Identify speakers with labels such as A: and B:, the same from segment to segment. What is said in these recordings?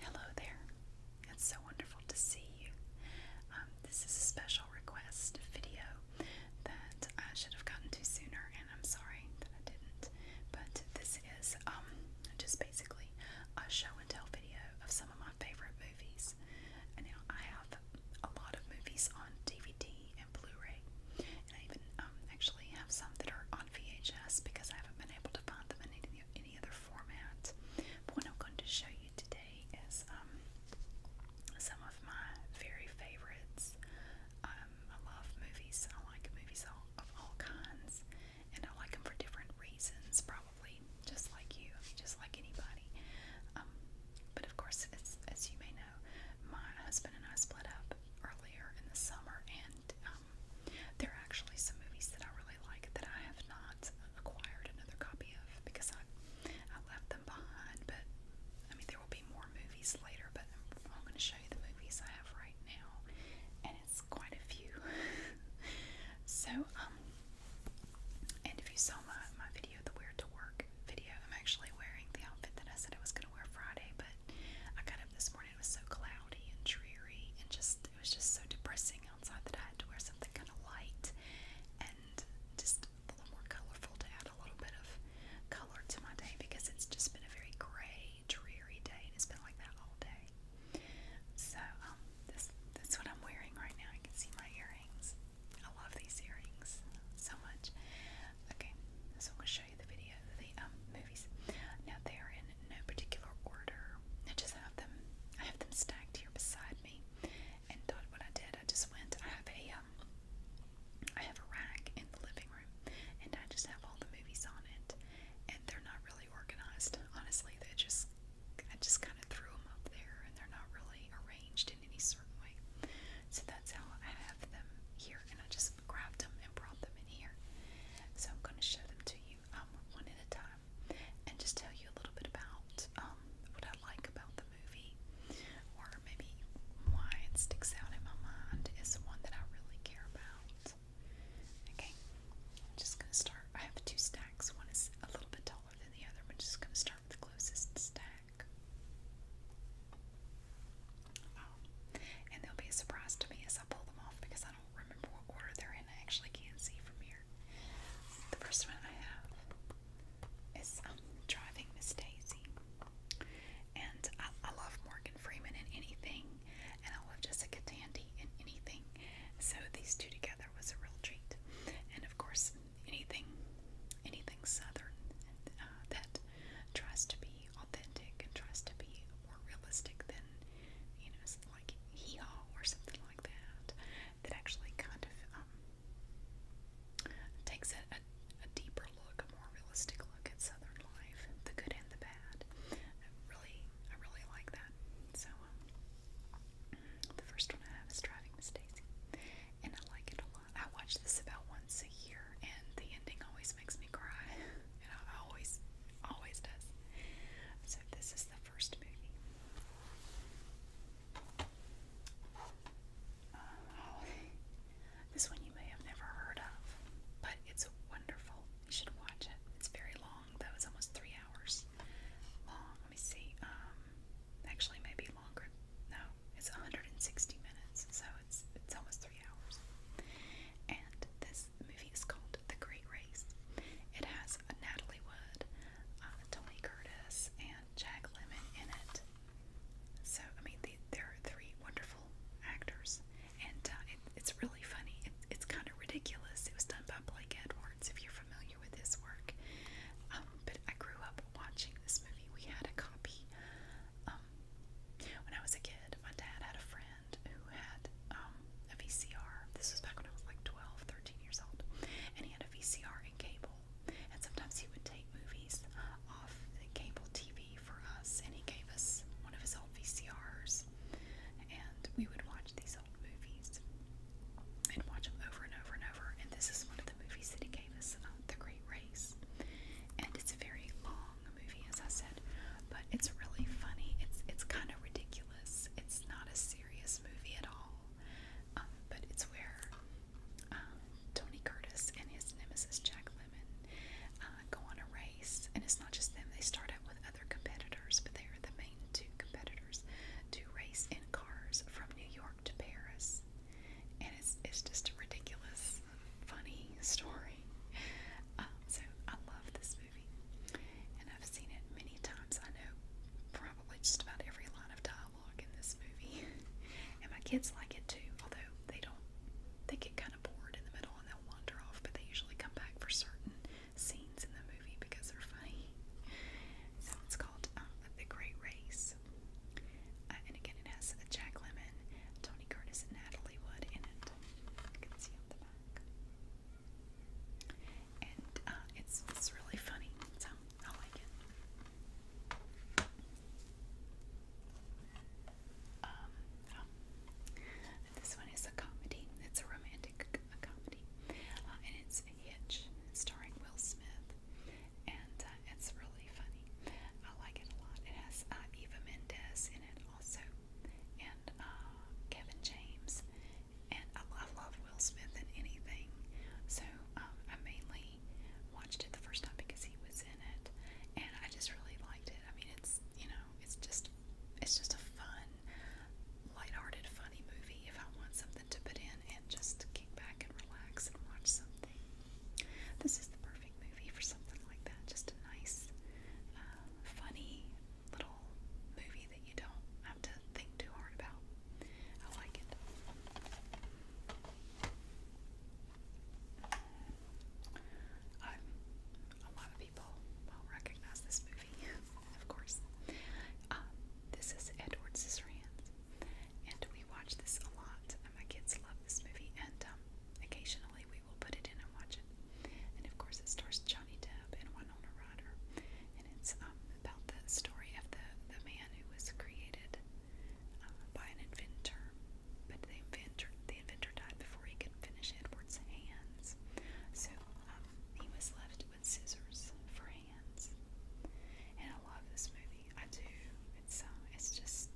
A: Hello there. It's so wonderful to see you. Um, this is a special request video that I should have gotten to sooner, and I'm sorry that I didn't. But this is um, just basically a show and tell video of some of my favorite movies. And now I have a lot of movies on DVD and Blu-ray, and I even um, actually have some that are on VHS because I haven't been able to find them in any any any other format. But what I'm going to show you today is um, some of my very favorites. Um, I love movies. I like movies all, of all kinds, and I like them for different reasons. Probably just like you, just like anybody. Um, but of course, as, as you may know, my husband and I split up earlier in the summer, and um, there are actually some movies that I really like that I have not acquired another copy of because I, I left them behind. But I mean, there will be more movies later, but I'm, going to show you the movies I have right now, and it's quite a few. so, um, and if you saw my, my video, the Where to Work video, I'm actually wearing the outfit that I said I was going to wear Friday, but I got up this morning, it was so cloudy and dreary, and just it was just so depressing outside that I had to wear something kind of light and just a little more colorful to add a little bit of color to my day because it's just been a very gray, dreary day and it's been like that all day. So, um, this that's what I'm wearing right now. I can see my earrings. I love these earrings so much. Okay, so I'm gonna show you the video, the um now they are in no particular order. I just have them. I have them stacked here beside me. And thought what I did, I just went. I have a um, I have a rack in the living room, and I just have all the movies on it. And they're not really organized. Honestly, they just I just kind of threw them up there, and they're not really arranged in any certain way. So that's how I have them here, and I just grabbed them and brought them in here. So I'm going to show them to you um, one at a time and just tell you a little bit about um, what I like about the movie or maybe why it sticks out in my mind is one that I really care about. Okay, I'm just going to start. I have two stacks. One is a little bit taller than the other. I'm just going to start with the closest stack. Um, and they'll be a surprise to me as I pull them off because I don't don't remember what order they're in. I actually can't see from here. The first one I have is um, Driving Miss Daisy. And I, I love Morgan Freeman in anything, and I love Jessica Tandy in anything. So these two together was a real treat. And of course, anything, anything Southern uh, that tries to be authentic and tries to be more realistic than, you know, like hee haw or something like that, that actually kind of um, takes a, a, a deeper look, a more realistic look at Southern life, the good and the bad. I really, I really like that. So, um, the first one I have is Driving Miss Daisy, and I like it a lot. I watch this about once a year, and the ending always makes me cry. And I always, always does. So this is the first movie. Uh, oh, this one you may have never heard of, but it's wonderful. You should watch it. It's very long, though. It's almost three hours long. Let me see. Um, actually, maybe longer. No, it's 160 minutes, so it's it's almost three hours. And this this movie is called The Great Race. It has Natalie Wood, uh, Tony Curtis, and Jack Lemmon in it. So, I mean, they, they're three wonderful actors, and uh, it, it's really funny. It, it's kind of ridiculous. It was done by Blake Edwards, if you're familiar with his work. Um, but I grew up watching this movie. We had a copy. Um, when I was a kid, my dad had a friend friend who had um, a VCR. This was back when I was like 12, 13 years old. And he had a VCR and cable. And sometimes he would take movies off the cable TV for us. And he gave us one of his old VCRs. And we would watch these old movies and watch them over and over and over. And this is one of the movies that he gave us uh, The Great Race. And it's a very long movie, as I said, but it's really funny. It's it's kind of ridiculous. It's not a serious movie at all, um, but it's where um, Tony Curtis and his nemesis Jack Lemmon uh, go on a race, and it's not just them. They start out with other competitors, but they are the main two competitors to race in cars from New York to Paris, and it's it's just a ridiculous, funny story. Um, so I love this movie. And I've seen it many times. I know probably just about every line of dialogue in this movie. and my kids like it too, although they don't they get kind of bored in the middle and they'll wander off, but they usually come back for certain scenes in the movie because they're funny. So it's called um, The Great Race. Uh, and again, it has uh, Jack Lemmon, Tony Curtis, and Natalie Wood in it. You can see on the back and uh, it's it's really funny, so I like it. Um, oh. This one is a comedy. It's a romantic a comedy, uh, and it's Hitch, starring Will Smith, and uh, it's really funny. I like it a lot. It has uh, Eva Mendes in it also, and uh, Kevin James, and I, I love Will Smith in anything. So um, I mainly watched it the first time because he was in it, and I just really liked it. I mean, it's you know, it's just it's just a fun, lighthearted, funny movie. If I want something to put in and just kick back and relax and watch something, this is the perfect movie for something like that. Just a nice, uh, funny little movie that you don't have to think too hard about. I like it. Um, a lot of people will recognize this movie, of course. Um, this is Edward Scissorhands, and we watch this a lot. And my kids love this movie, and um, occasionally we will put it in a watch it. And of course, it stars Johnny Depp and Winona Ryder. And it's um, about the story of the, the man who was created uh, by an inventor, but the inventor the inventor died before he could finish Edward's hands. So um, he was left with scissors for hands. And I love this movie. I do. It's um, it's just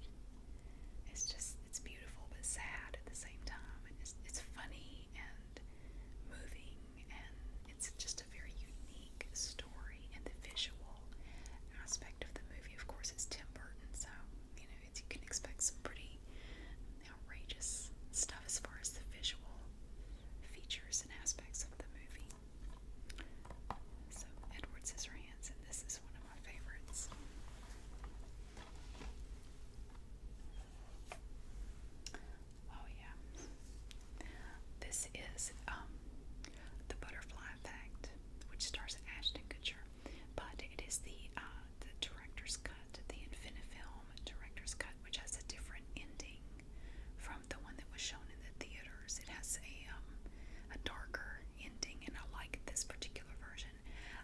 A: it's just it's beautiful but sad at the same time. it's it's funny and moving, and it's just a very unique story. And the visual aspect of the movie, of course, is Tim Burton, so you know it's, you can expect some pretty outrageous stuff as far as the visual features and aspects of the movie. So Edward Scissorhands, and this is one of my favorites. Oh yeah. This is um, the Butterfly Effect, which stars Ashton Kutcher, but it is uh, the director's cut, the Infinifilm director's cut, which has a different ending from the one that was shown in the theaters. It has a um, a darker ending, and I like this particular version.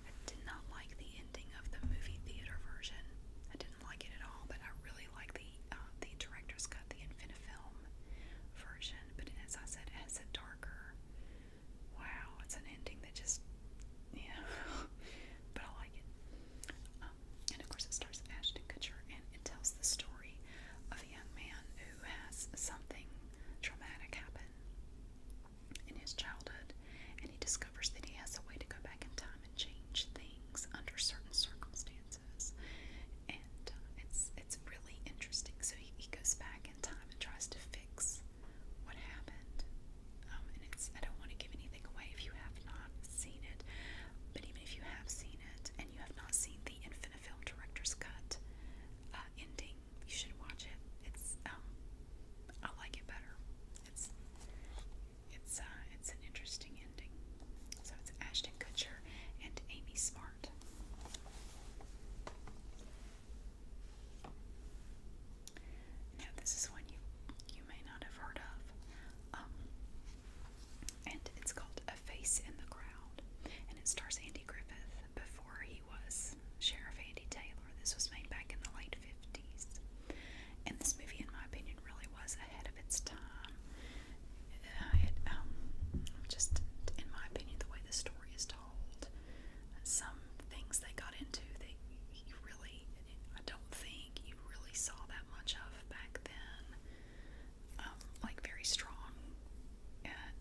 A: I did not like the ending of the movie theater version like it at all, but I really like the uh, the director's cut, the Infinifilm version. But as I said, it has a darker. Wow, it's an ending that just yeah, but I like it. Um, and of course, it stars Ashton Kutcher, and it tells the story of a young man who has something traumatic happen in his childhood, and he discovers discovers that he has a way to go back in time and change things under certain circumstances, and uh, it's it's really interesting. So he, goes back in time and tries to fix what happened. Um, and I don't want to give anything away if you have not seen it, but even if you have seen it and you have not seen the Infinifilm director's cut uh, ending, you should watch it. It's um, I like it better it's uh, it's an interesting ending. So it's Ashton Kutcher and Amy Smart. Now this is one you you may not have heard of, um, and it's called A Face in the Crowd, and it stars Andy Griffith before he was Sheriff Andy Taylor. This was made back in the late 1950s. And this movie, in my opinion, really was ahead of its time. Uh, it, um, just, in my opinion, the way the story is told, some things they got into that you really, I don't think you really saw that much of back then. Um, like very strong uh,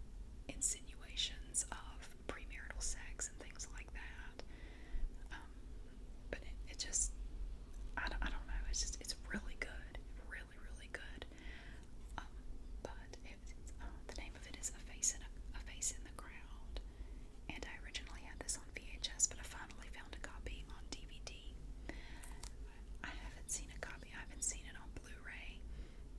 A: insinuations of premarital sex and things like that that. Um, but it, it just, I don't, I don't know. It's just, it's really good, really, really good. Um, but it, it's, um, the name of it is a face in a, a face in the crowd. And I originally had this on VHS, but I finally found a copy on DVD. I haven't seen a copy. I haven't seen it on Blu-ray,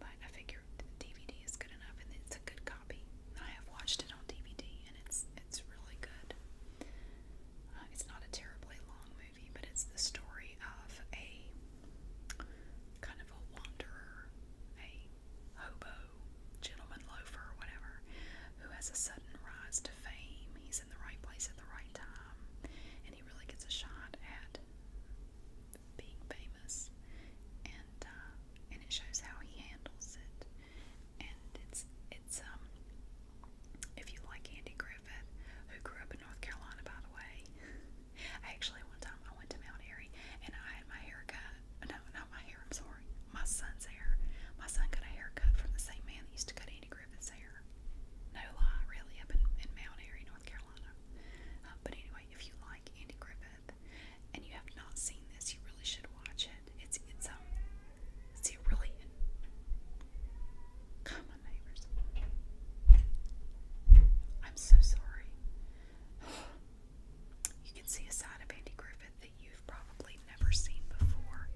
A: but I figure the DVD is good enough, and it's a good copy. I have watched it on DVD, and it's it's really good. Uh, it's not a terribly long movie, but it's the story of a kind of a wanderer, a hobo, gentleman loafer, whatever, who has a sudden rise to fame. He's in the right place at the right time, and he really gets a shot at being famous. And uh, and it shows how he handles it and it's it's um if you like Andy Griffith, who grew up in North Carolina by the way. I actually one time I went to Mount Airy and I had my hair No, not my hair, I'm sorry. My son's hair. My son got a haircut from the same man that used to cut Andy Griffith's hair. No lie, really, up in, in Mount Airy, North Carolina. Um, but anyway, if you like Andy Griffith and you have not seen this, you really should watch it. It's it's um cerulean. Come on, neighbors. I'm so sorry. You can see a side of Andy Griffith that you've probably never seen before.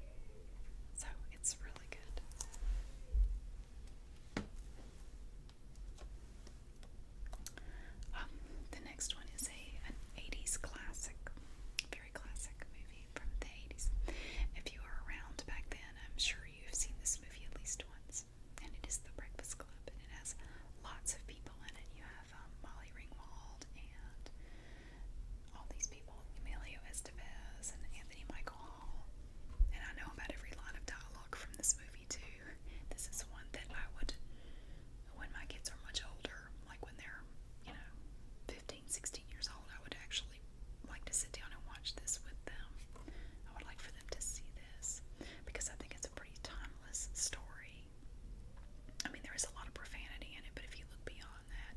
A: So it's really good. Um, the next one is a an 80s classic very classic movie from the 80s. If you were around back then, I'm sure you've seen this movie at least once. And it is The Breakfast Club, and it has lots of people in it. You have um, Molly Ringwald and all these people, Emilio Estevez and Anthony Michael Hall. And I know about every line of dialogue from this movie, too. This is one that I would, when my kids are much older, like when they're, you know, 15 15, 16 years old, I would actually like to sit down and watch this with them. I would like for them to see this because I think it's a pretty timeless story. I mean, there is a lot of profanity in it, but if you look beyond that,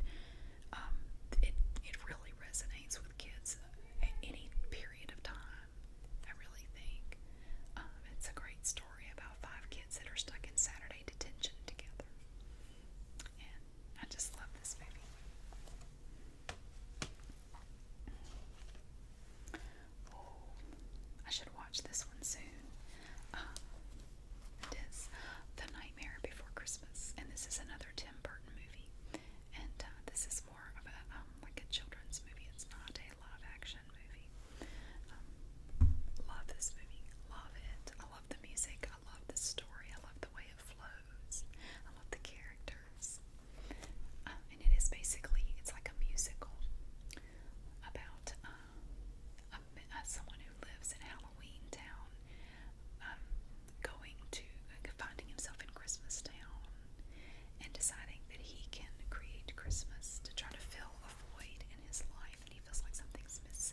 A: um, it it really resonates with kids at any period of time. I really think um, it's a great story about five kids that are stuck in Saturday detention together. And I just love this movie. I should watch this one soon. Uh, it is The Nightmare Before Christmas, and this is another Tim Burton movie. And uh, this is more of a um, like a children's movie. It's not a live action movie. Um, love this movie. Love it love the music. I love the story. I love the way it flows. I love the characters. Um, and it is basically, it's like a musical about um, a, uh, someone who lives in Halloween Town um, going to, uh, finding himself in Christmas Town and deciding that he can create Christmas to try to fill a void in his life. And he feels like something's missing.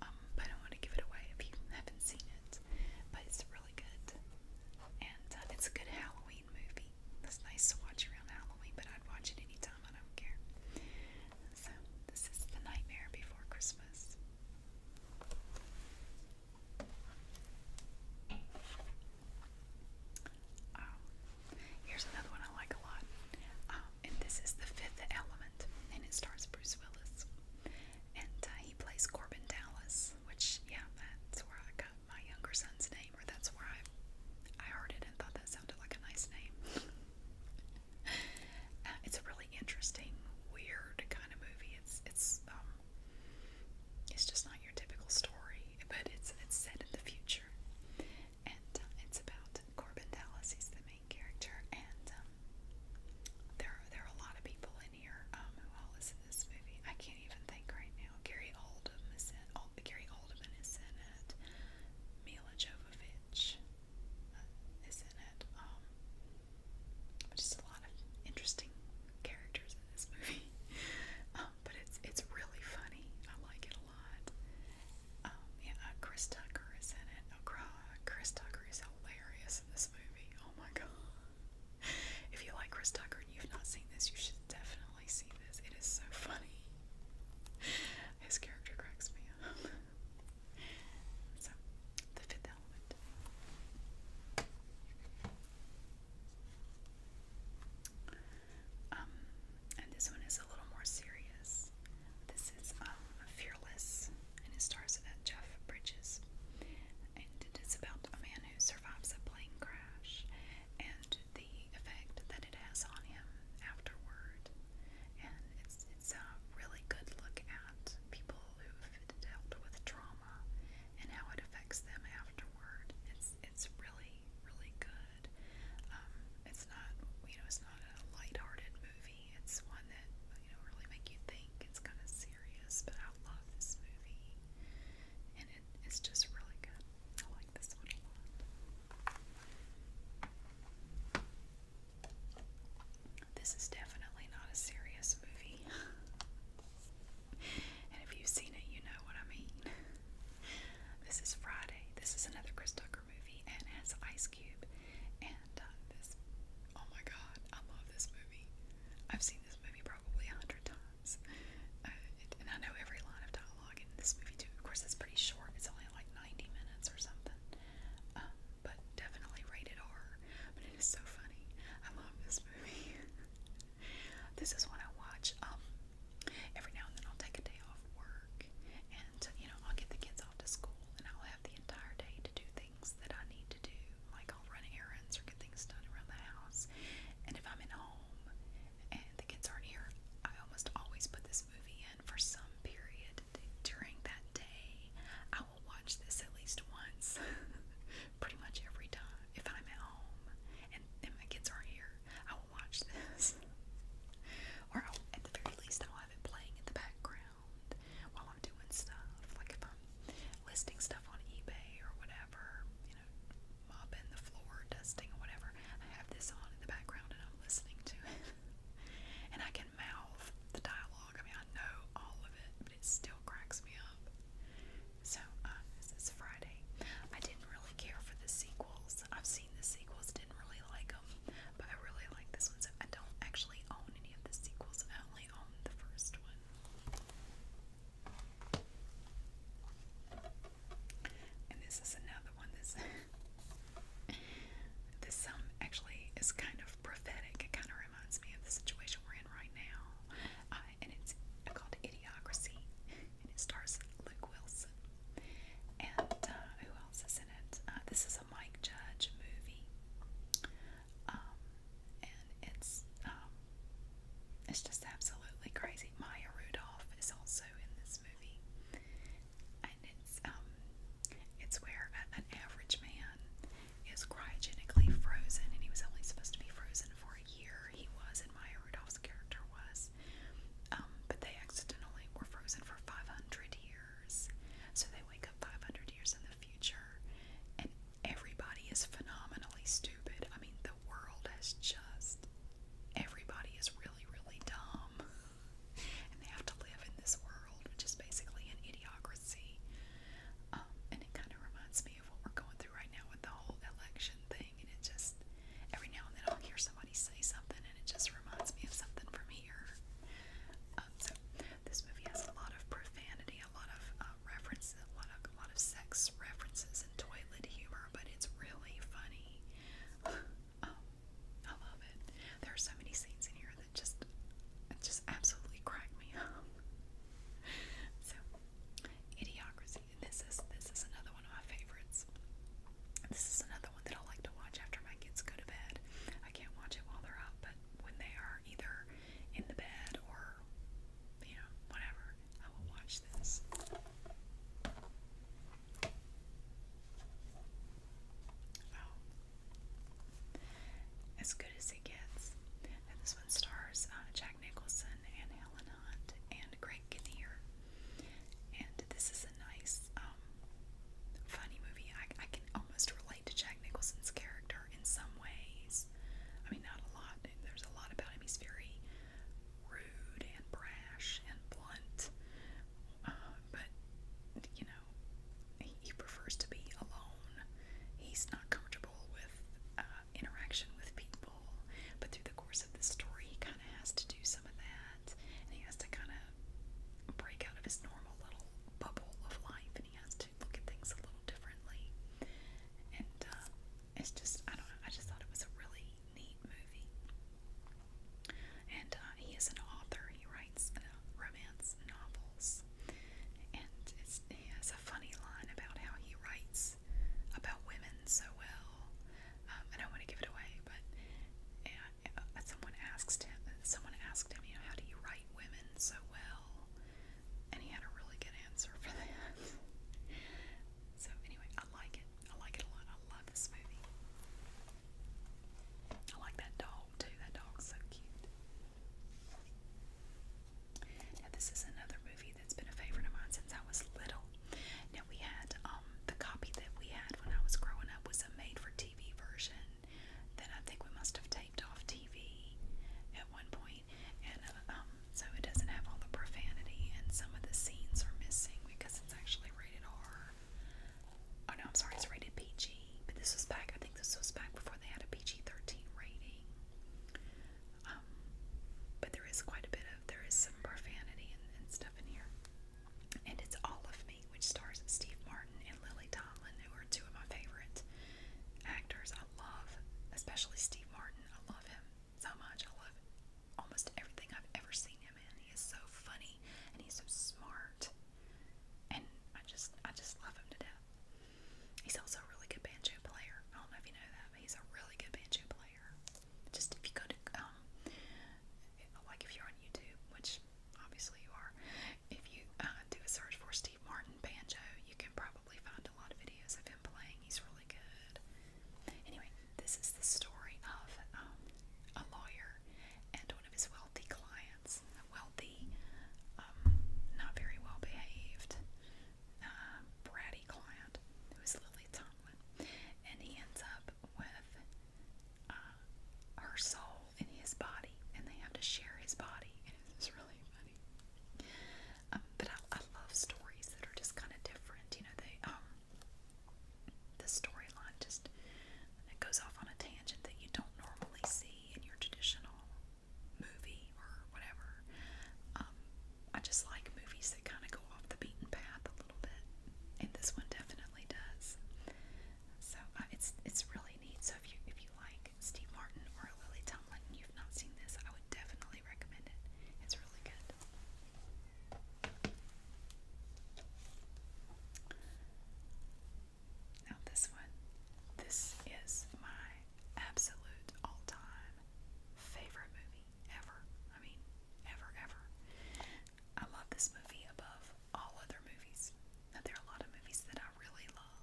A: Um, but I don't want to give it away if you haven't seen it. But it's really good, and uh, it's a good Halloween movie. It's nice to watch around Halloween, but I'd watch it anytime. I don't care. So this is The Nightmare Before Christmas. Um, here's another one I like a lot. Um, and this is the fifth element, and it stars Bruce Willis, and uh, he plays Corbin Dallas, which yeah, that's where I got my younger son's name, or that's where I I heard it and thought that sounded like a nice name. Uh, it's a really interesting, weird kind of movie. It's it's um it's just not your typical story, but it's it's set in the future and uh, it's about Corbin Dallas. He's the main character, and um, there are, there are a lot of people in here um, who all is in this movie. I can't even think right now. Gary Oldham is in. Old, oh, Gary Oldman is in it. Mila Jovovich uh, is in it. Um, just a lot of interesting characters in this movie. Um, but it's it's really funny. I like it a um, yeah, uh, Chris Tucker is in it. Oh, Chris Tucker is hilarious in this movie. Oh my god. If you like Chris Tucker and you've not seen this, you should definitely see this. It is so funny. His character cracks me up. so, the fifth element. Um, and this one is a little more serious. This is um, Fearless, and it stars uh, Jeff Bridges. And it is about a man who survives a plane crash and the effect that it has on him afterward. And it's, it's a really good look at people who've dealt with trauma and how it affects them afterward. It's, it's really, really good. Um, it's not, you know, it's not a lighthearted movie. It's one that you know really make you think. It's kind of serious, but I love this movie, and it's just really good. I like this one a lot. This is definitely not a serious movie. and if you've seen it, you know what I mean. this is Friday. This is another Chris Tucker soccer movie and has Ice Cube. And uh, this, oh my god, I love this movie. I've seen this movie probably a hundred times. Uh, it, and I know every line of dialogue in this movie too. Of course, it's pretty short, it's only like 90 minutes or something. Um, but definitely rated R. But it is so funny. I love this movie. this is one I watch. Um, every now and then I'll take a day off work and, you know, I'll get the kids off to school and I'll the entire day to do things that I need to do. Like i errands or get things done around the house. And if I'm at home and the kids aren't here, I almost always put this movie in for some period during that day. I will watch this at least once, pretty much every time. If I'm at home and, and my kids aren't here, I will watch this. or at the very least, I'll have it playing in the background while I'm doing stuff. Like if listing stuff on eBay or whatever, you know, mopping the floor, dusting, whatever, I have this on in the background and I'm listening to it. and I can mouth the dialogue. I mean, I know all of it, but it still cracks me up. So, uh, this is Friday. I didn't really care for the sequels. I've seen the sequels, didn't really like them them, but I really like this one. So I don't actually own any of the sequels. I only own the first one. And this is another one. This this um actually is kind of prophetic. It kind of reminds me of the situation we're in right now, uh, and it's called Idiocracy, and it stars Luke Wilson. And uh, who else is in it? Uh, this is Mike Judge movie, um, and it's um, it's just absolutely crazy. Maya Rudolph is also in this movie, and it's um, it's where an average man is cryogenically frozen, and he was only supposed to be frozen for a year. He was, and Maya Rudolph's character was, but they accidentally were frozen for 500 years. So they wake up 500 years in the future, and everybody is phenomenally stupid. I mean, the world has just. Everybody is really, really dumb. And they have to live in this world, which is basically an idiocracy. Um, and it kind of reminds me of what we're going through right now with the whole election thing. And it just, every now and then I'll hear somebody say something, and it just reminds me of something from here. Um, so this movie has a lot of profanity, a lot of uh, references, a lot of a lot of sex references and toilet humor, but it's really funny. um, I love it. There are so many scenes in here that just just absolutely crack me up. So, Idiocracy. This is this is another one of my favorites. This is another that I like to watch after my kids go to bed. I can't watch it while they're up, but when they are either in the bed or, you know, whatever, I will watch this. Oh. As good as it gets. this one stars uh, Jack Nicholson and Helen Hunt and Greg Kinnear. And this is a nice um, um, funny movie. I, I can almost relate to Jack Nicholson's character in some ways. I mean, not a lot. There's a lot about him. He's very rude and brash and blunt. Uh, but, you know, he, he prefers to be alone. He's not comfortable with uh, interaction with people. But through the course of the story, he kind of has to do some of that. And he has to kind of break out of his normal little bubble of life and he has to look at things a little differently. And uh, it's just, I don't know, I just thought it was a really neat movie. And uh, he is an author, he writes uh, romance novels. And it's, he has a funny line about how he writes about women so well. Um, I don't want to give it away, but. Uh, someone asked him, someone asked him, you know, how do you write women so well? And he had a really good answer for that. so anyway, I like it. I like it a lot. I love this movie. I like that dog too. That dog's so cute. Now this is another movie that's been a favorite of mine since I was little. Now we had um the copy that we had when I was growing up was a made-for-TV version then I think we must have taped off TV at one point, and uh, um, so it doesn't have all the profanity, and some of the scenes are missing because it's actually rated R. Oh no, I'm sorry, it's rated PG. But this was back. I think this was back before they had a PG-13 rating. Um, but there is quite a bit of there is some profanity and, and stuff in here, and it's all of me which stars Steve Martin and Lily Tomlin, who are two of my favorite actors. I love, especially Steve Martin. I love him so much. I love almost everything I've ever seen him in. He is so funny and he's so smart, and I just, I just love him to death. He's also a really good banjo player. I don't know if you know that, but he's a really good banjo player. Just if you go to um, like if you're on YouTube, which obviously you are, if you uh, do a search for Steve Martin banjo, you can probably find a lot of videos of him playing. He's really good. Anyway, this is the story of um, a lawyer and one of his wealthy clients. Wealthy, um, not very well behaved, uh, bratty client who is Lily Tomlin. And he ends up with uh, her soul in his body, and they have to share his body, and it's really funny. Um, but I, love stories that are just kind of different. You know, they um, the storyline just it goes off on a tangent that you don't normally see in your traditional movie or whatever. Um, I just like movies that kind of go off the beaten path a little bit, and this one definitely does. So uh, it's it's really neat. So if you if you like Steve Martin or Lily Tomlin and you've not seen this, I would definitely recommend it. It's really good. Now this one, this is my absolute all-time favorite movie ever. I mean, ever, ever. I love this movie above all other movies. Now, there are a lot of movies that I really love,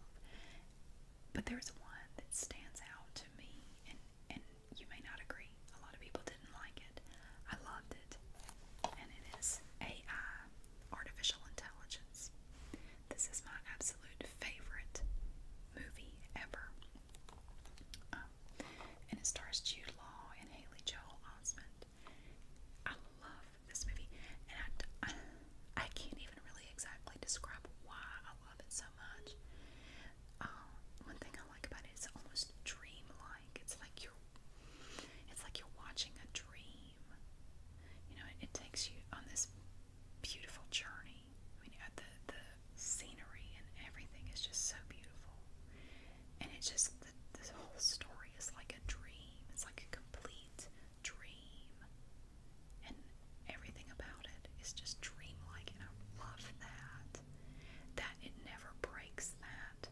A: but there's one that stands out to me, and, and you may not agree. A lot of people didn't like it. I loved it, and it is AI, Artificial Intelligence. This is my absolute favorite movie ever. Um, and it stars Jude Law and Haley Joel Osment. I love this movie, and I, I can't even really exactly describe why I love it so much. Um, one thing I like about it is almost dreamlike. It's like you it's like you're watching a dream. You know, it, takes you on this beautiful journey. I mean, the the scenery and everything is just so beautiful, and it's just this whole story is like a dream. It's like a complete dream. And everything about it is just dreamlike, and I love that. That it never breaks that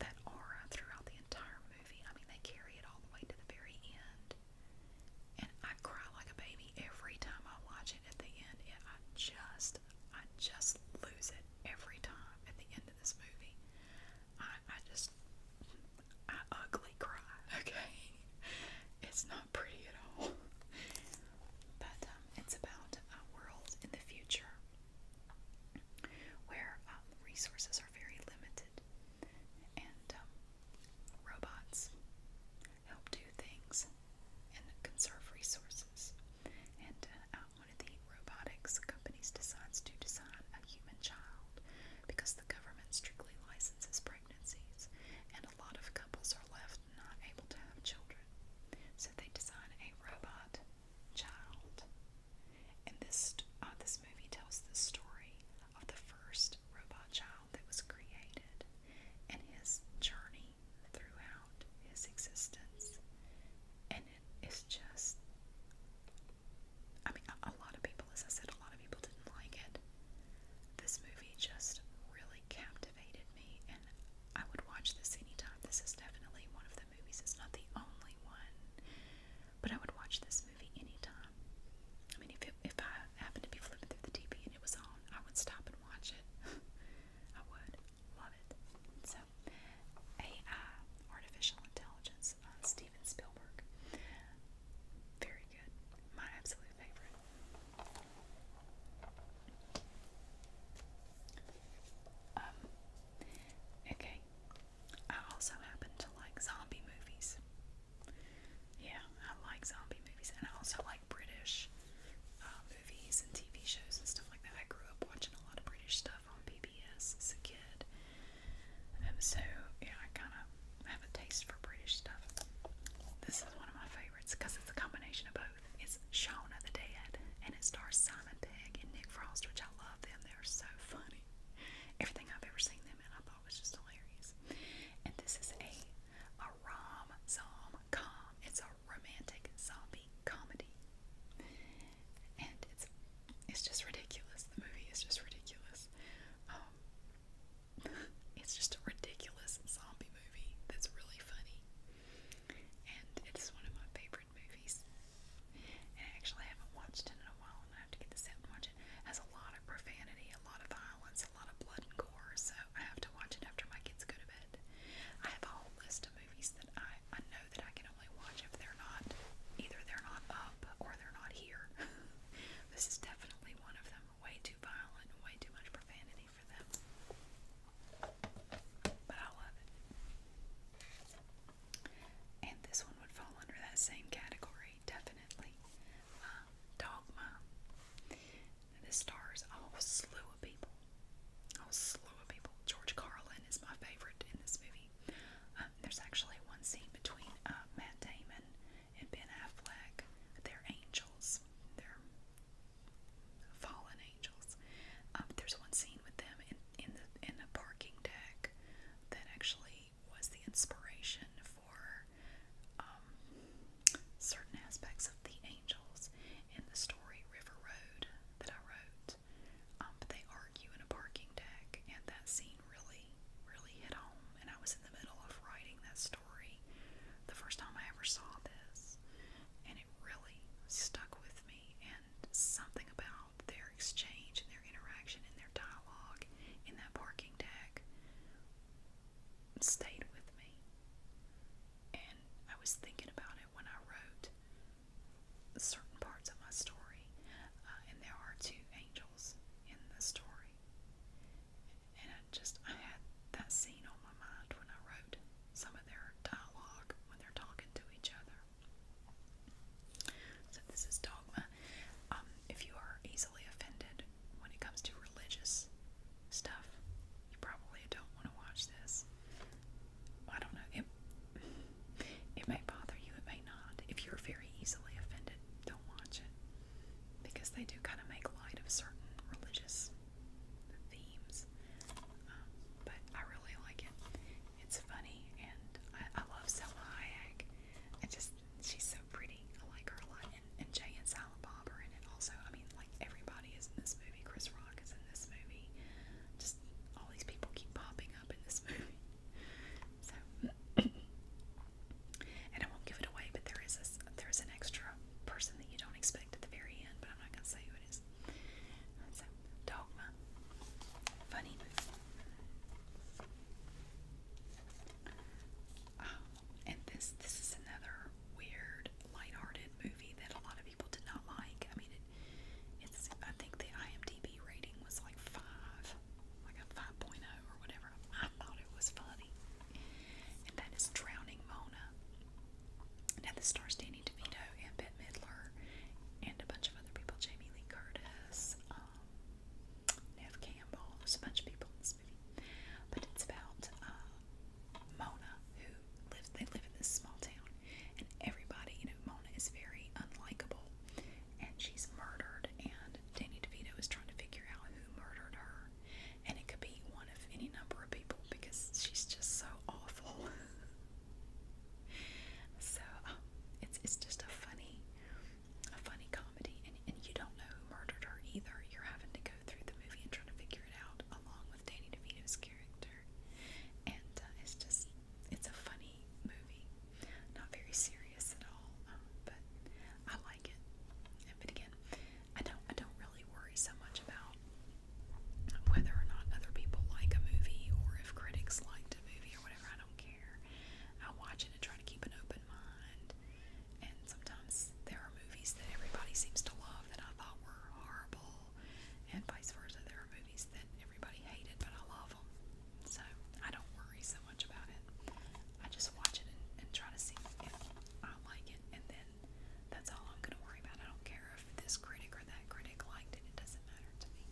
A: that aura throughout the entire movie. I mean, they carry it all the way to the very end. And I cry like a baby every time I watch it at the end. It, I just, I just lose it every time at the end of this movie. I just, I ugly cry. Okay, it's not pretty at all. But um, it's about a world in the future where um, resources are very limited, and um, robots help do things and conserve resources. And uh, one of the robotics co companies decides to design a human child because the government strictly licenses pregnancies and a lot of couples are left not able to have children. So they design a robot child. And this uh, this movie tells the story of the first robot child that was created and his journey throughout his existence. And it is just I mean, a, lot of people, as I said, a lot of people didn't like it. This movie just really captivated me, and I would watch this anytime. This is definitely one of the movies, it's not the only one, but I would watch this movie anytime. I mean, if, if I happened to be flipping through the TV and it was on, I would stop and watch it. I would love it. So, AI, artificial intelligence, uh, Steven Spielberg. Very good. My absolute favorite. Um, okay. I also happen to like zombie movies. Yeah, I like zombie movies, and I also like British uh, movies and TV shows and stuff like that. I grew up watching a lot of British stuff stuff on PBS as a kid. Um, so, yeah, I kind of have a taste for British stuff. This is one of my favorites because it's a combination of both. It's Shaun of the Dead, and it stars Simon Pegg and Nick Frost, which I love them. They're so funny. Everything I've ever seen them in, I thought was just hilarious. And this is a a rom-zom-com. It's a romantic zombie comedy and it's it's just ridiculous. The movie is just ridiculous. Um, it's just a ridiculous zombie movie that's really funny, and it's one of my favorite movies. And I actually haven't watched it in a while, and I have to get this out and watch it. it has a lot of profanity, a lot of violence, a lot of blood and gore, so I have to watch it after my kids go to bed. I have a whole list of movies that I I know that I can watch if they're not either they're not up or they're not here. this is definitely one of them. Way too violent, way too much profanity for them. But I love it. And this one would fall under that same category, definitely. Um, Dogma. this stars a whole slew of people. A whole slew of people. George Carlin is my favorite in this movie. Um, there's actually one scene between uh, Matt Damon and Ben Affleck. They're angels. They're fallen angels. Um, there's one scene with them in in the a parking deck that actually was the inspiration for um, certain aspects of the angels in the story River Road that I wrote. Um, they argue in a parking deck, and that scene scene really, really hit home. And I was in the middle of writing that story the first time I ever saw this. And it really stuck with me. And something about their exchange and their interaction and their dialogue in that parking deck stayed with me. And I was thinking about it when I wrote certain parts of my story. Uh, and there are two angel in the story. And I just, I had that scene on my mind when I wrote some of their dialogue when they're talking to each other. So this is dogma. Um, if you are easily offended when it comes to religious stuff, you probably don't want to watch this. I don't know. It may bother you, it may not. If you're very easily offended, don't watch it because they do kind of make light of certain religious themes. Um, but I really like it. It's funny, and I, love Selma Hayek. I just she's so pretty. I like her a lot. And, and Jay and Silent Bob are in it also. I mean, like everybody is in this movie. Chris Rock is in this movie. Just all these people keep popping up in this movie. So and I won't give it away, but there is a, there is an extra person that you don't expect at the very end, but I'm not gonna say who it is. So Dogma, funny movie. Um, and this this is another weird, lighthearted movie that a lot of people did not like. I mean, it's I think the IMDb rating was like five like a 5.0 or whatever. I thought it was funny. And that is Drowning Mona. Now, this stars Danny DeVito and Bette Midler and a bunch of other people Jamie Lee Curtis, um, Nev Campbell. There's a bunch of people in this movie. But it's about uh, Mona, who lives, they live in this small town, and everybody, you know, Mona is very unlikable and she's murdered, and Danny DeVito is trying to figure out who murdered her, and it could be one of any number of people because she's just so awful. so um, it's it's just a funny, a funny comedy, and and you don't know who murdered her either. You're having to go through the movie and trying to figure it out along with Danny DeVito's character, and uh, it's just it's a funny movie. Not very serious at all, um, but I like it. But again, I don't I don't really worry so much about whether or not other people like a movie or if critics liked a movie or whatever. I don't care. I watch it and try to keep an open mind. And sometimes there are movies that everybody seems to love that I thought were horrible, and vice versa. There are movies that everybody hated, but I love them. So I don't worry so about it. I just watch it and, try to see if I like it, and then that's all I'm going to worry about. I don't care if this critic or that critic liked it, it doesn't matter to me.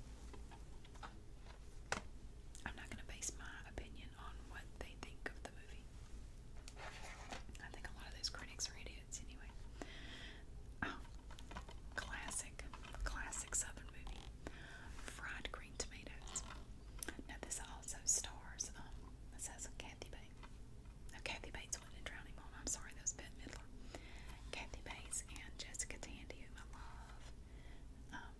A: I'm not going to base my opinion on what they think of the movie. I think a lot of those critics are idiots anyway. Oh, classic, classic Southern movie. Fried Green green tomatoes. Now this also stars, um, it says Kathy Bates. No, Kathy Bates wasn't in Drowning Mom. I'm sorry, that was Bette Midler. Kathy Bates and Jessica Tandy, whom I love. Um,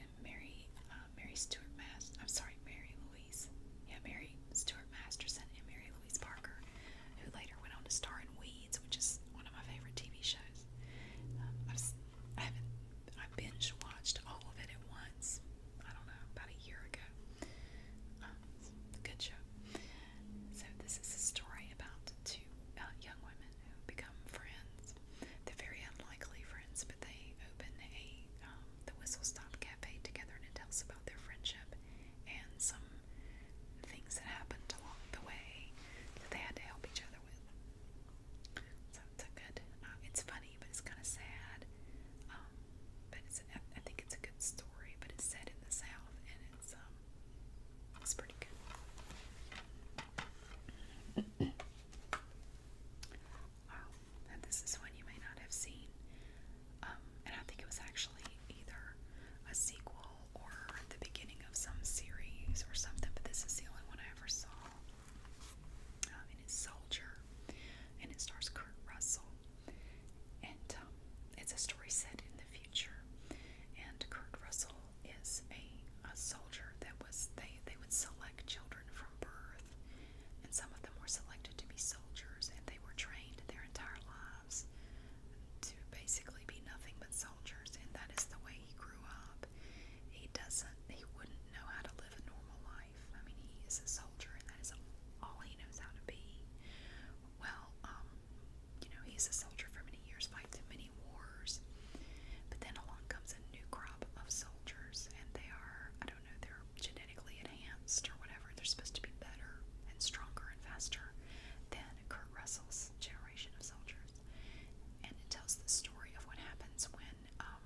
A: and Mary, uh, Mary Stewart Mast. I'm sorry, Mary Louise. Yeah, Mary Stewart Masterson and Mary Louise Parker, who later went on to star in Weeds, which is one of my favorite TV shows. Um, I've I haven't I binge watched all of it at once. I don't know, about a year ago. Um, a good show. So this is a story about two uh, young women who become friends. They're very unlikely friends, but they open a um, the Whistle Stop Cafe together, and it tells about their friendship and some things that happened along the way that they had to help each other with. So it's a good. Uh, it's funny, but it's kind of sad. Um, but it's. I, I think it's a good story. But it's set in the South, and it's um, it's pretty good. wow, and this is one you may not have seen. Um, and I think it was actually either a sequel or the beginning of some series or something. But this is the only one I ever saw. Um, and it's Soldier, and it stars Kurt Russell, and um, it's a story set in the future, and Kurt Russell is a, a soldier that was they they would select children from birth, and some of them were selected to be soldiers, and they were trained their entire lives to basically be nothing but soldiers, and that is the way he grew up. He doesn't, he wouldn't know how to live a normal life. I mean, he is a soldier and that is all he knows how to be. Well, um, you know, he's a soldier for many years, fights in many wars. But then along comes a new crop of soldiers and they are, I don't know, they're genetically enhanced or whatever. They're supposed to be better and stronger and faster than Kurt Russell's generation of soldiers and it tells the story of what happens when um,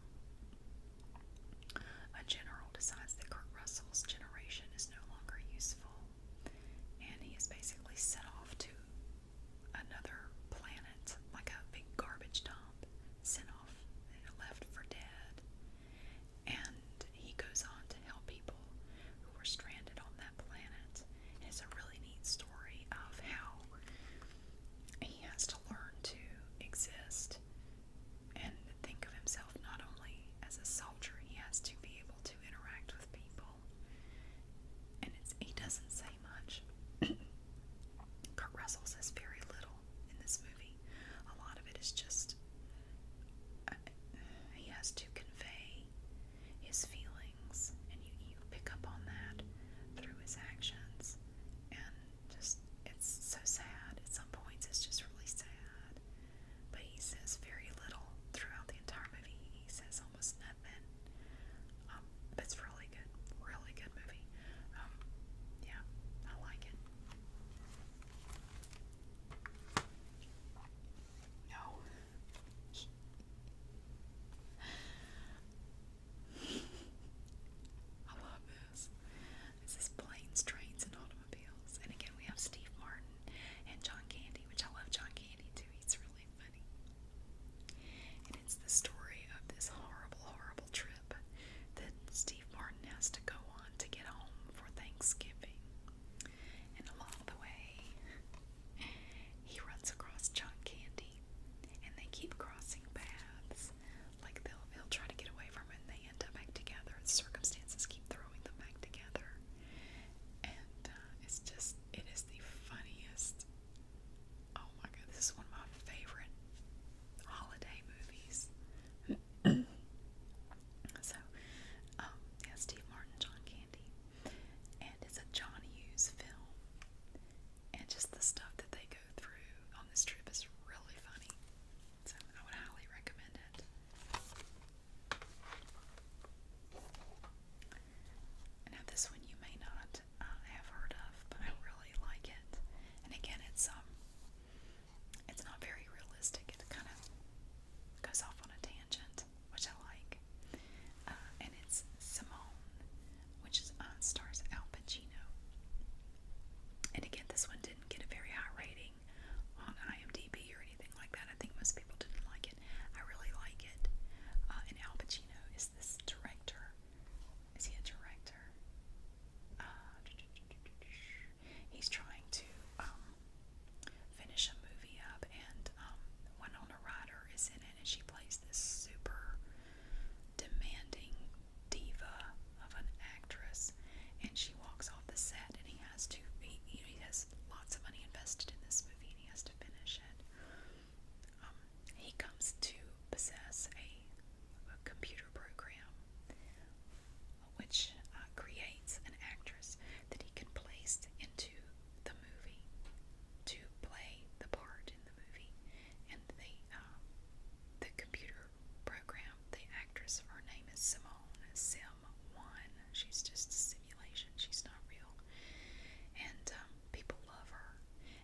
A: a general decides that Kurt Russell's generation is no longer useful, and he is basically sent off to another planet, like a big garbage dump, sent off and left for dead. And he goes on to help people who were stranded on that planet. it's a really neat story of how he has to learn to exist and think of himself not only as a soldier, he has to be able to interact with people. And it's, he doesn't say much. Kurt Russell says very little in this movie. A lot of it is just uh, he has to convey his feelings and you, pick up on that through his actions. And just, it's so sad. At some points, it's just really sad. But he says very little throughout the entire movie. He says almost nothing. Um, but it's really good, really good movie. Um, yeah, I like it. No. I love this. This is planes, trains, and automobiles. And again, we have Steve Martin and John Candy, which I love John Candy too. He's really funny. And it's the story of this horrible, horrible trip that Steve Martin has to go on to get home for Thanksgiving. And along the way, he runs across John Candy, and they keep crossing paths. Like they'll he'll try to get away from him, they end up back together. And circumstances keep throwing them back together, and uh, it's just it is the funniest. Oh my god, this is one of my favorite holiday movies. so, um, yeah, Martin, John Candy, and it's a John Hughes film and just the stuff that they go through on this trip is really funny. So I would highly recommend it. Now this one you may not uh, have heard of, but I really like it. And again, it's um, it's not very realistic. It kind of goes off on a tangent, which I like. Uh, and it's Simone which is on stars Al Pacino. And again, this one didn't get a very high rating on IMDb or anything like that. I think most people didn't like it. I really like it. Uh, and Al Pacino is this director. Is he a director? Uh, he's trying to um, finish a movie up, and um, Winona Ryder is in it, and she plays this super demanding diva of an actress, and she walks off the set, and he has to he, has lots of money invested in this movie, he has to finish it. Um, he comes to possess a, computer program which uh, creates an actress that he can place into the movie to play the part in movie, and the um, the computer program, the actress, her name is Simone Sim One. She's just a simulation. She's not real, and um, people love her.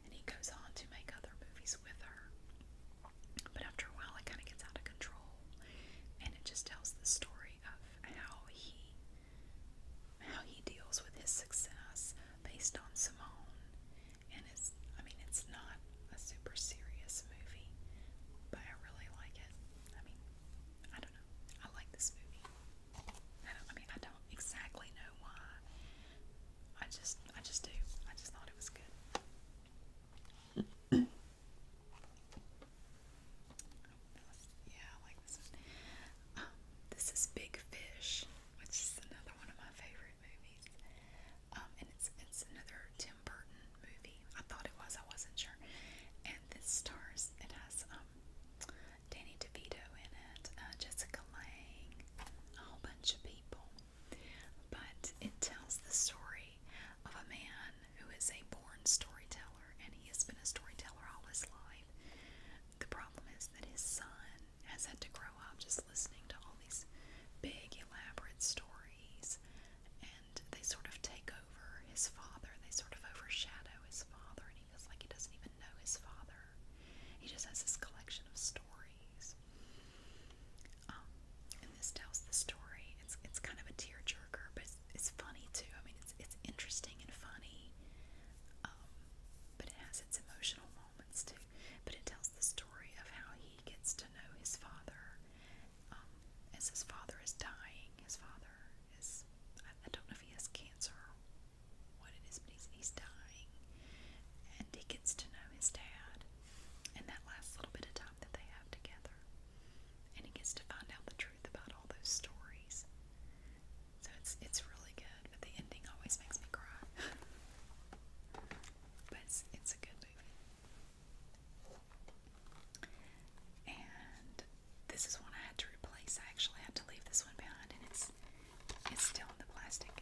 A: And he goes on to make other movies with her. But after a while, it kind of gets out of control, and it just tells the story of how he how he deals with his success based on Simone. And it's, I mean, it's not a super serious movie, but I really like it. I mean, I don't know. I like this movie. I, mean, I don't exactly know why. I just, I just do. I just thought it was good. yeah, I like this one. Um, this is Big Fish which is another one of my favorite movies. Um, and it's it's another Tim Burton movie. I thought it was. I wasn't sure. And this stars. It has um, Danny DeVito in it, uh, Jessica Lange, a whole bunch of people. But it tells the story of a man who is a born storyteller, and he has been a storyteller all his life. The problem is that his son has had to grow up just listening to all these big, elaborate stories, and they sort of take over his father. They sort of overshadow his father, and he feels like he doesn't even know his father. He just has this collection of stories. Um, and this tells the story. It's it's kind of a tearjerker, but it's, it's funny too. I mean, it's it's interesting and funny. Um, but it has its emotional moments too but it tells the story of how he gets to know his father um, as his father is dying. His father is, I, don't know if he has cancer what it is, but he's dying. And he gets to know his dad. And that last little bit of time that they have together. And he gets to find out the truth about all those stories. So it's it's really good, but the ending always makes me cry. but it's, it's a good movie. And this is one I had to replace. I actually had to leave this one behind, and it's it's still in the plastic.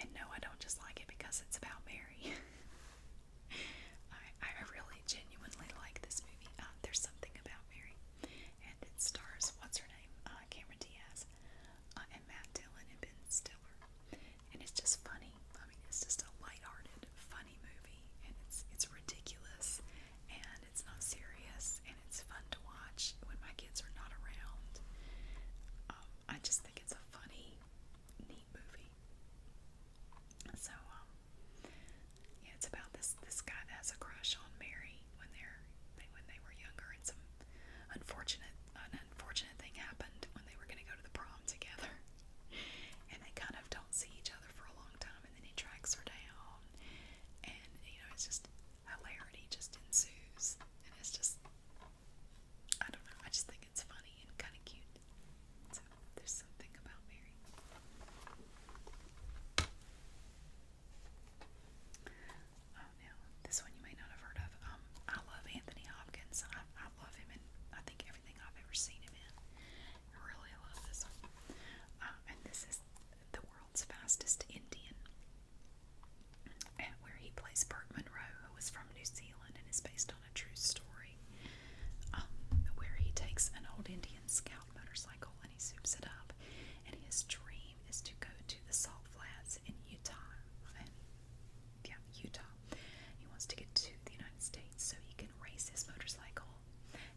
A: And no, I don't just like it because it's about Mary. I I really genuinely like this movie. Uh, there's something about Mary, and it stars what's her name, uh, Cameron Diaz, uh, and Matt Dillon and Ben Stiller. And it's just funny. I mean, it's just a lighthearted, funny movie, and it's it's ridiculous, and it's not serious, and it's fun to watch when my kids are not around. Um, I just think it's a funny, neat movie. So, um, yeah, it's about this this guy that has a crush on Mary when they're they, when they were younger, and some unfortunate an unfortunate thing happened when they were going to go to the prom together and they kind of don't see each other for a long time and then he tracks her down and you know it's just hilarity just ensues and it's just I don't know I just think it's funny and kind of cute so there's something about Mary Oh, now this one you may not have heard of. Um, I love Anthony Hopkins. I, I love him, and I think everything I've ever seen him in. I really love this one. Um, and this is the world's fastest Indian, where he plays Bert Monroe, who was from New Zealand and is based on a true story. Um, where he takes an old Indian scout motorcycle and he soups it up and his dream is to go to the salt flats in Utah. And yeah, Utah. He wants to get to the United States so he can race his motorcycle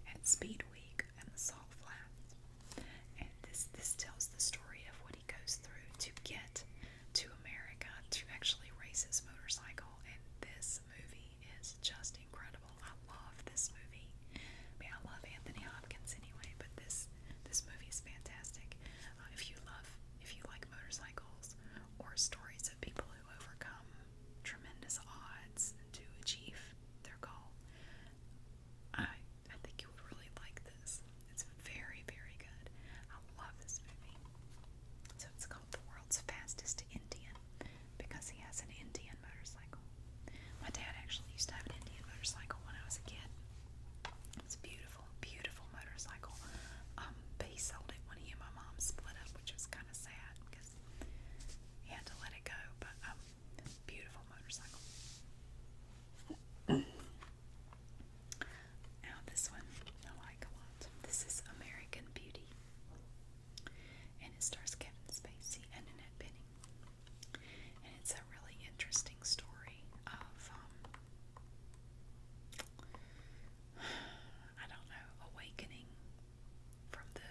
A: at Speed Week and the salt flats. And this this tells the story of what he goes through to get to America to actually race his motorcycle. And this movie is just incredible. I love this movie. I I love Anthony Hopkins anyway, but this this movie is fantastic. Uh, if you love, if you like motorcycles or stories of people who overcome tremendous odds to achieve their goal, I I think you would really like this. It's very very good. I love this movie. So it's called the world's fastest Indian because he has an Indian motorcycle. My dad actually used to have an Indian motorcycle when I was a kid. It's beautiful, beautiful motorcycle. Um, but he sold it when he and my mom split up, which was kind of sad because he had to let it go. But um, beautiful motorcycle. now this one I like a lot. This is American Beauty, and it stars Kevin Spacey and Annette Bening it's a really interesting story of, um, I don't know, awakening from the,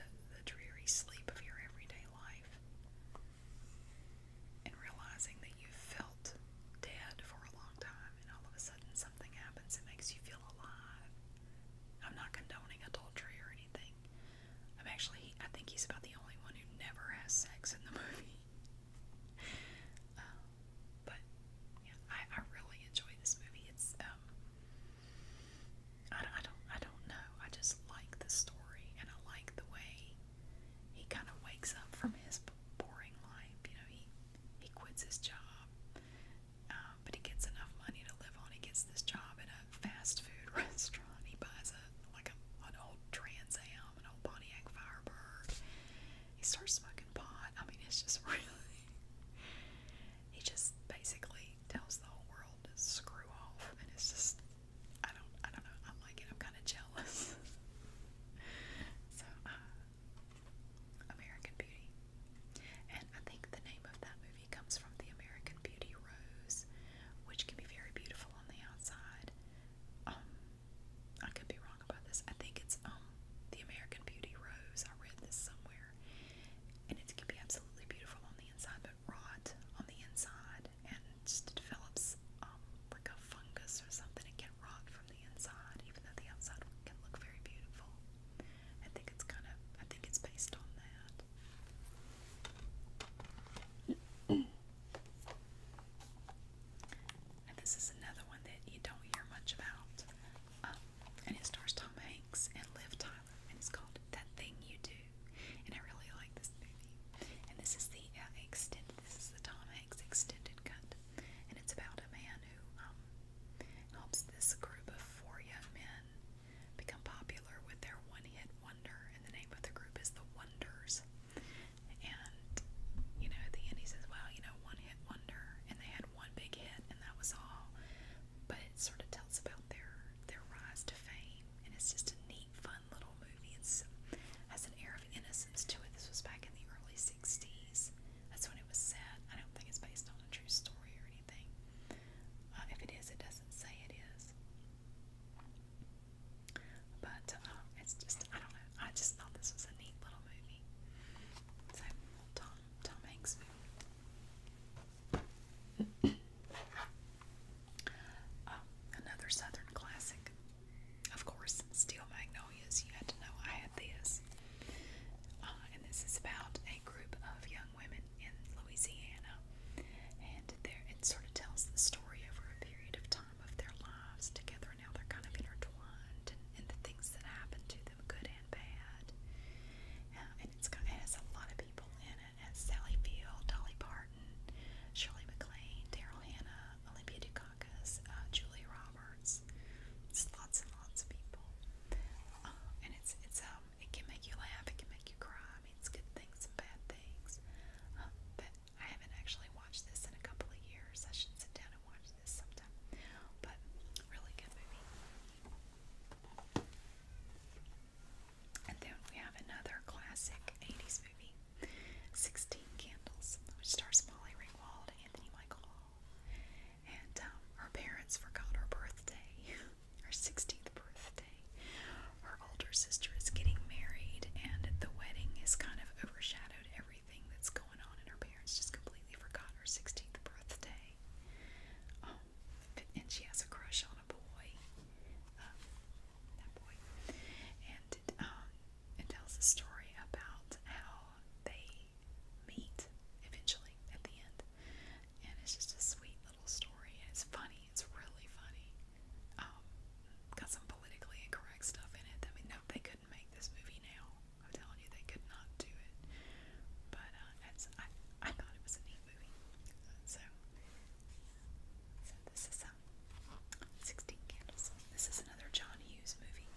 A: dreary sleep of your everyday life and realizing that you felt dead for a long time and all of a sudden something happens that makes you feel alive. I'm not condoning adultery or anything. I'm actually, I think he's about the only one who never has sex in the movie. Um, but yeah, I, I really enjoy this movie. It's um, I, I don't I don't know. I just like the story, and I like the way he kind of wakes up from his boring life. You know, he he quits his job, um, but he gets enough money to live on. He gets this job at a fast food restaurant. He buys a like a, an old Trans Am an old Pontiac Firebird. He starts smoking pot. I mean, it's just really. He just basically tells the whole world to screw off, and it's just. I don't. I don't know. I'm like I'm kind of jealous. so, uh, American Beauty, and I think the name of that movie comes from the American Beauty rose, which can be very beautiful on the outside, um I could be wrong about this. I think it's um the American Beauty Rose. I read this somewhere. And it can be absolutely beautiful on the inside but rot on the inside and just develops um like a fungus or something. It can rot from the inside even though the outside can look very beautiful. I think it's kind of I think it's based on that. And this is another one that you don't hear much about. Um, and it stars Tom Hanks and Liv Tyler, and it's called That Thing You Do. And I really like this movie. And this is the uh, extended. This is the Tom Hanks extended cut, and it's about a man who um, helps this group of four young men become popular with their one-hit wonder. And the name of the group is the Wonders. And, you know, at the end he says, wow, you know, one hit wonder. And they had one big hit and that was all. But it sort of tells about their their rise to fame. And it's just a neat, fun little movie. It's has an air of innocence to it. This was back in the early 60s. That's when it was set. I don't think it's based on a true story or anything. Uh, if it is, it doesn't say it is. But um, it's just, I don't know. I just thought this was a neat little movie. So, Tom, Tom Hanks um, another Southern classic. Of course, Steel Magnolias. You had to know I had this. Uh, and this is about a group of young women in Louisiana. And there, it sort of tells the story over a period of time time of their lives together. Now they're kind of intertwined and, and the things that happen to them, good and bad. Uh, and it's got, it has a lot of people in it. It has Sally Field, Dolly Parton, Shirley MacLaine, Daryl Hannah, Olympia Dukakis, uh, Julia Roberts. It's lots and lots of people. Uh, and it's, it's um, it can make you laugh, it can make you cry. I mean, it's good things and bad things. Uh, but I haven't actually watched this in a couple of years. I should sit down and watch this sometime. But really good movie. And then we have another classic 80s movie, 16 Candles, which stars Molly Ringwald, Anthony Michael And um, our parents forgot our birthday, our 16th birthday her older sister is getting married, and the wedding is kind of overshadowed everything that's going on, and her parents just completely forgot her 16th birthday. Um, and she has a crush on a boy, um, that boy, and um, it, um, tells a story about how they meet eventually at the end, and it's just a sweet little story. And it's funny. It's really funny. Um, got some politically incorrect stuff in it. I mean, no, they couldn't make this movie now. I'm telling you, they could not do it. But uh, it's, I, I thought it was a neat movie. So, so this is um, 16 Candles. This is another John Hughes movie.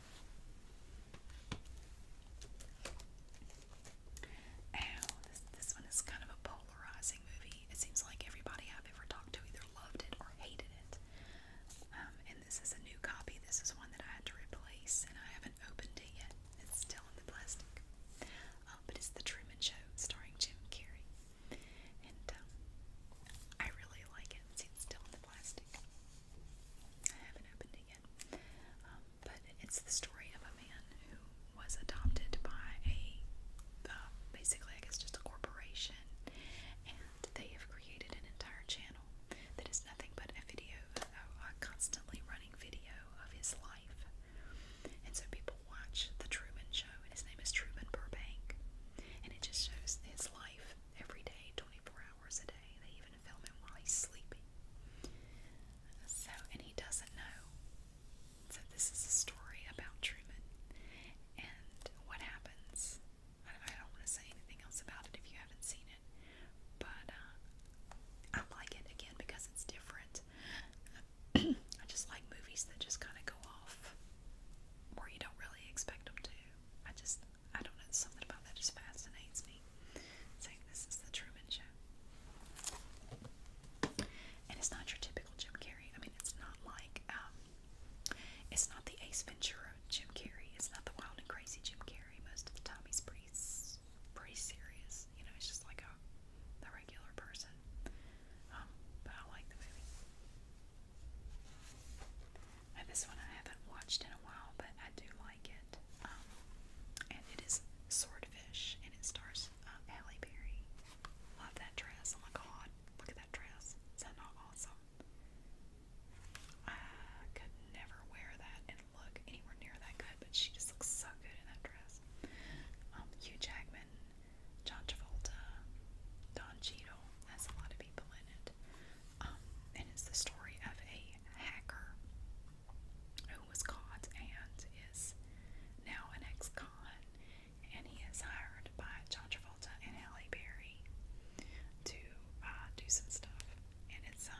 A: Oh, this, this one is kind of a polarizing movie. It seems like everybody I've ever talked to either loved it or hated it. Um, and this is a new copy. This is one that I had to replace, and I haven't opened it yet. It's still in the plastic. Um, but it's The Truman Show starring Jim Carrey. And um, I really like it. See, it's still in the plastic. I haven't opened it yet. Um, but it's the story of a man who was adopted by a, uh, basically, I guess, just a corporation. And they have created an entire channel that is nothing but a video, a, a constantly running video of his life. And so people watch The Truman Show, and his name is Truman Burbank. And it just shows his life every day, 24 hours a day. They even film him while he's sleeping. So, and he doesn't know. So, this is a story about Truman and what happens I, don't want to say anything else about it if you haven't seen it, but uh, I like it again because it's different. I just like movies that just kind of go off where you don't really expect them to. I just, I don't know, something about that just fascinates me. It's this is the Truman Show. And it's not your typical Jim Carrey. I mean, it's not like um, it's not the Ace Ventura Jim Carrey. It's not the wild and crazy Jim Carrey. Most of the time, he's pretty, pretty serious. You know, he's just like a, a regular person. Um, but I like the movie. And this one I haven't watched in a while, but I do like it. Um, and it is Swordfish, and it stars uh, Halle Berry. Love that dress. Oh my god, look at that dress. Is that not awesome? I could never wear that and look anywhere near that good, but she just looks so good in that dress. Um, Hugh Jackman, John Travolta, Don Cheadle, that's a lot of people in it. Um, and it's the story of a hacker who was caught and is now an ex-con and he is hired by John Travolta and Halle Berry to uh, do some stuff. And it's uh,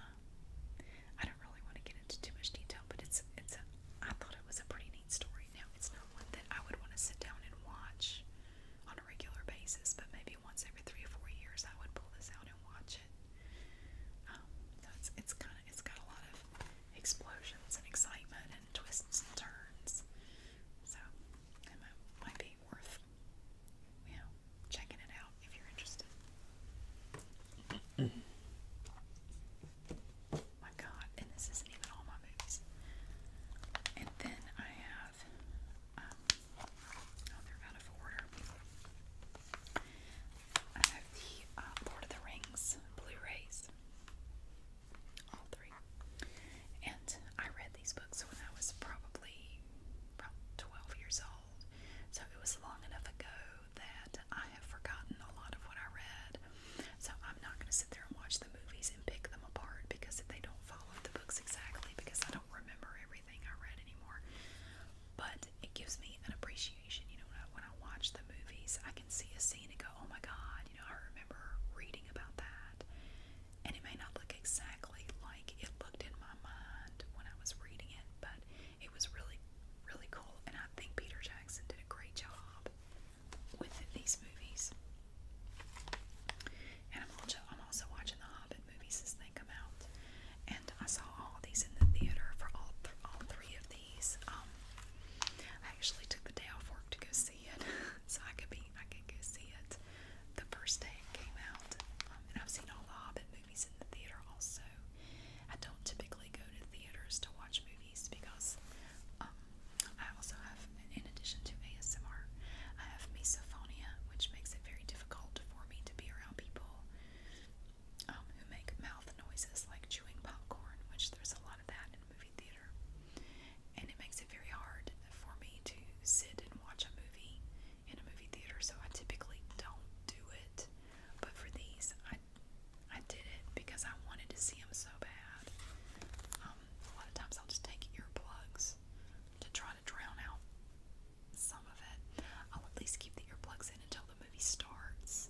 A: I don't really want to get into too much detail, but it's it's a I thought it was a pretty neat story. Now it's not one that I would want to sit down and watch on a regular basis, but maybe once every three or four years I would pull this out and watch it. Um, so it's it's kind of it's got a lot of explosions and excitement and twists and turns. So it might be worth you know checking it out if you're interested. my God, and this isn't even all my movies. And then I have um, oh they're out of order. I have the uh, Lord of the Rings Blu-rays all three. And I read these books when I was probably about 12 years old, so it was long enough ago that I have forgotten a lot of what I read. So I'm not going to sit there and watch the movies and pick them apart because they don't follow the books exactly because I don't remember everything I read anymore. But it gives me an appreciation, you know, when I, when I watch the movies, I can see a scene and go, oh my god, you know, I remember reading about that and it may not look exactly like it looked in my mind when I was reading it, but it was really, really cool. And I think Peter Jackson did a great job with these movies. And I'm also, I'm also watching the Hobbit movies as they come out. And I saw all these in the theater for all th all three of these. Um, I actually took the day off work to go see it, so I could be I could go see it it the first day it came out. Um, and I've seen all the Hobbit movies in the theater also. I don't typically go to theaters to watch movies because um, I also have, in addition to ASMR, I have misophonia, which makes it very difficult for me to be around people um, who make mouth noises like chewing popcorn, which there's a lot of that in movies movie theater. And it makes it very hard for me to sit and watch a movie in a movie theater, so I typically don't do it. But for these, I I did it because I wanted to see them so bad. Um, a lot of times I'll just take earplugs to try to drown out some of it. I'll at least keep the earplugs in until the movie starts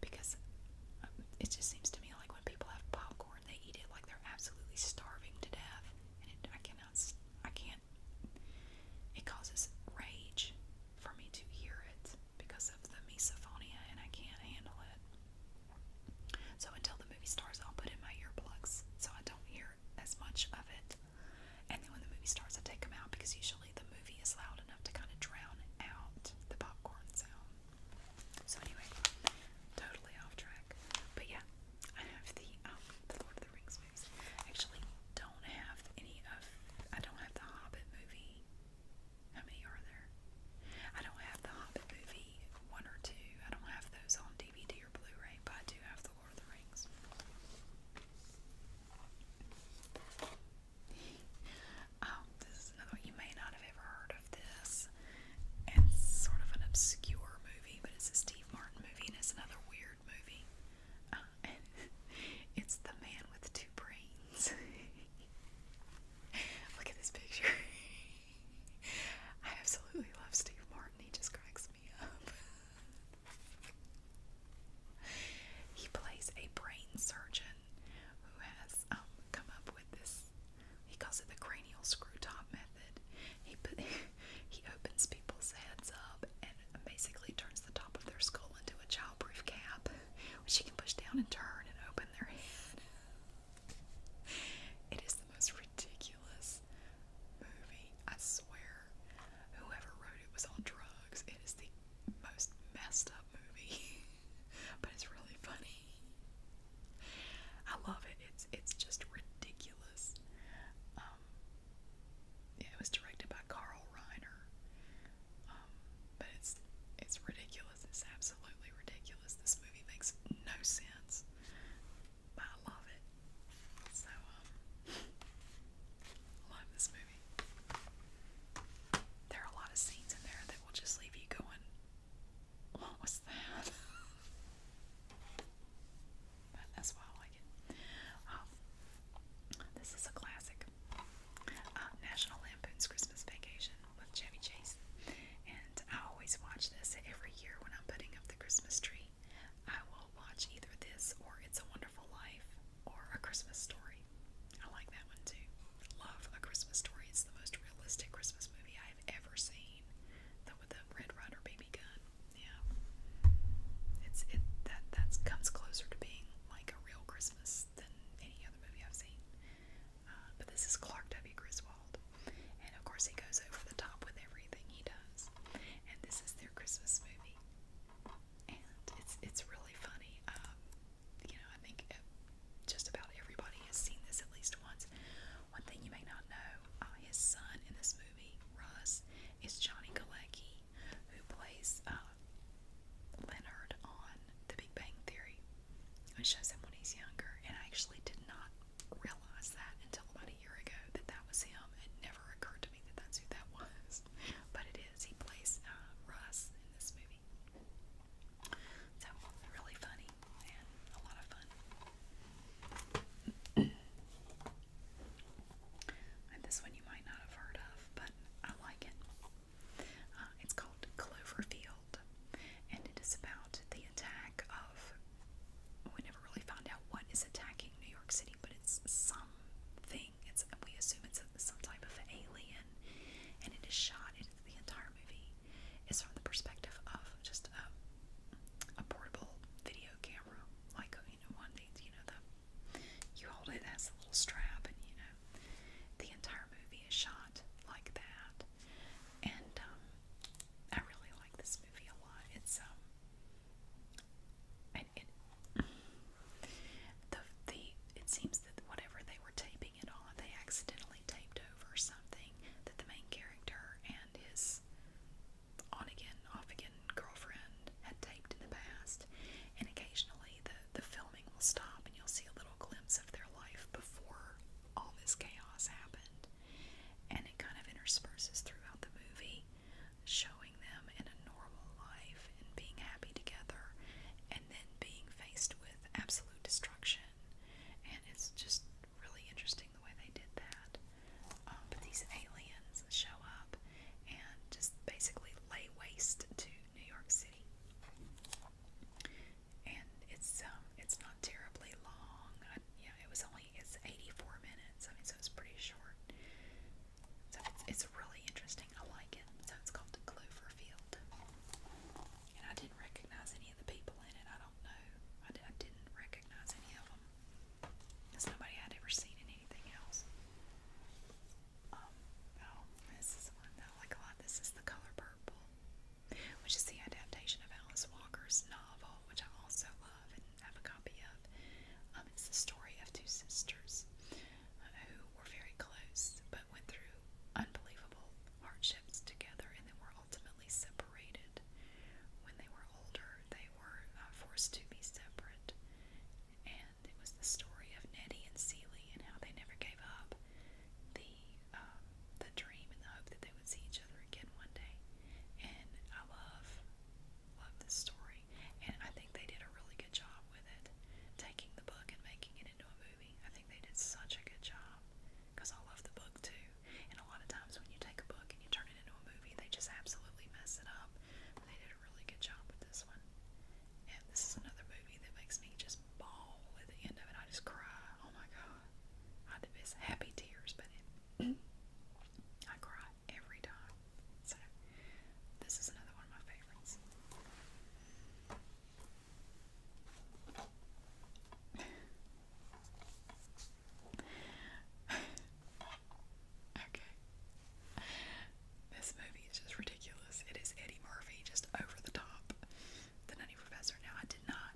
A: because um, it just seems to me like when people have popcorn they eat it like they're absolutely starving to death, and it, I cannot, I can't. It causes rage for me to hear it because of the misophonia, and I can't handle it. So until the movie starts, I'll put in my earplugs so I don't hear as much of it. And then when the movie starts, I take them out because usually the movie is loud enough to kind of drown out the popcorn sound. So, anyway, totally off track. But yeah, I have um, the Lord of the Rings movies. Actually, don't have any of. I don't have the Hobbit movie. How many are there? I don't have the Hobbit movie one or two. I don't have those on DVD or Blu-ray, but I do have the Lord of the Rings. Oh, this is another you may not have ever heard this. it's sort of an obscure movie, but it's a Steve Martin movie and it's another weird movie. Uh, it's The Man with Two Brains. Look at this picture. I absolutely love Steve Martin, he just cracks me up. he plays a brain surgeon who has um, come up with this he calls it the cranial screw top method. He he opens people's heads up and basically turns the top of their skull into a childproof cap, which he can push down and turn and open their head. It is the most ridiculous movie. I swear, whoever wrote it was on drugs. It is the most messed up movie, but it's really funny. I love it. It's it's just ridiculous. Um, it was directed by Carl Reiner, um, but it's it's ridiculous. It's absolutely ridiculous. This movie makes no sense, but I love it. So um, love this movie. There are a lot of scenes in there that will just leave you going. What was that? but that's why I like it. Um, this is a classic. Uh, National Lampoon's Christmas Vacation with Chevy Chase. And I always watch this every year when I'm putting up the Christmas tree. I will watch either this or It's a Wonderful Life or A Christmas Story. I like that one too. Love A Christmas Story. It's the most realistic Christmas movie I've ever seen that with the Red Runner BB gun. Yeah, it's it that that comes closer to being like a real Christmas than any other movie I've seen. Uh, but this is Clark W. Griswold, and of course he goes over the top with everything he does. And this is their Christmas movie, and it's it's really funny. Um, you know, I think uh, just about everybody has seen this at least once. One thing you may not know uh, his son in this movie, Russ, is Johnny Galecki, who plays uh, Leonard on The Big Bang Theory. It shows him when he's younger, and I actually did not realize that until about a year ago that that was him. It never occurred to me that that's who that was, but it is. He plays uh, Russ in this movie. So really funny a lot of fun. and this one you might not have heard of, but I like it. Uh, it's called Cloverfield, and it is about the attack of. We never really found out what is attacking New York City, but it's something. It's we assume it's some type of alien, and it is shot. It, the entire movie is from the perspective of just a, portable video camera, like you know one that you know the you hold it as a little strap, and you know the entire movie is shot like that. And um, I really like this movie a lot. It's um, it the the it seems that whatever they were taping it on, they accidentally taped over something that the main character and his on again, off again girlfriend had taped in the past, and occasionally the, the filming will stop and you'll see a little glimpse of their life before all this chaos happened. And it kind of intersperses throughout the movie, showing them in a normal life and being happy together, and then being faced with absolute destruction. And it's just really interesting the way they did that. Um, but these aliens show up and just basically lay waste to New York City. And it's um, it's not terribly long. I, yeah, it was only it's 84 minutes. I mean, so it's pretty short. So it's it's really interesting. I like it. So it's called the Cloverfield. And I didn't recognize any the people in it. I don't know. I, didn't recognize any of them. It's nobody I'd ever seen in anything else. Um, oh, this is one that like a lot. This is The Color Purple, which is the adaptation of Alice Walker's novel, which I also love and have a copy of. Um, it's the story of two sisters uh, who were very close but went through unbelievable hardships together and then were ultimately separated. When they were older, they were uh, forced to be separate. And it was the story of Nettie and Celie and how they never gave up the um, the dream and the hope that they would see each other again one day. And I love love this story, and I think they did a really good job with it, taking the book and making it into a movie. I think they did such a good job because I love the book too. And a lot of times when you take a book and you turn it into a movie, they just absolutely mess it up. But they did a really good job with this one. And this is another movie that makes me just bawl at the end of it. I just cry. Oh my god. I did this happy tears, but it, I cry every time. So this is another one of my favorites. okay. This movie is just ridiculous. It is Eddie Murphy just over the top. The Nutty Professor. Now, I did not.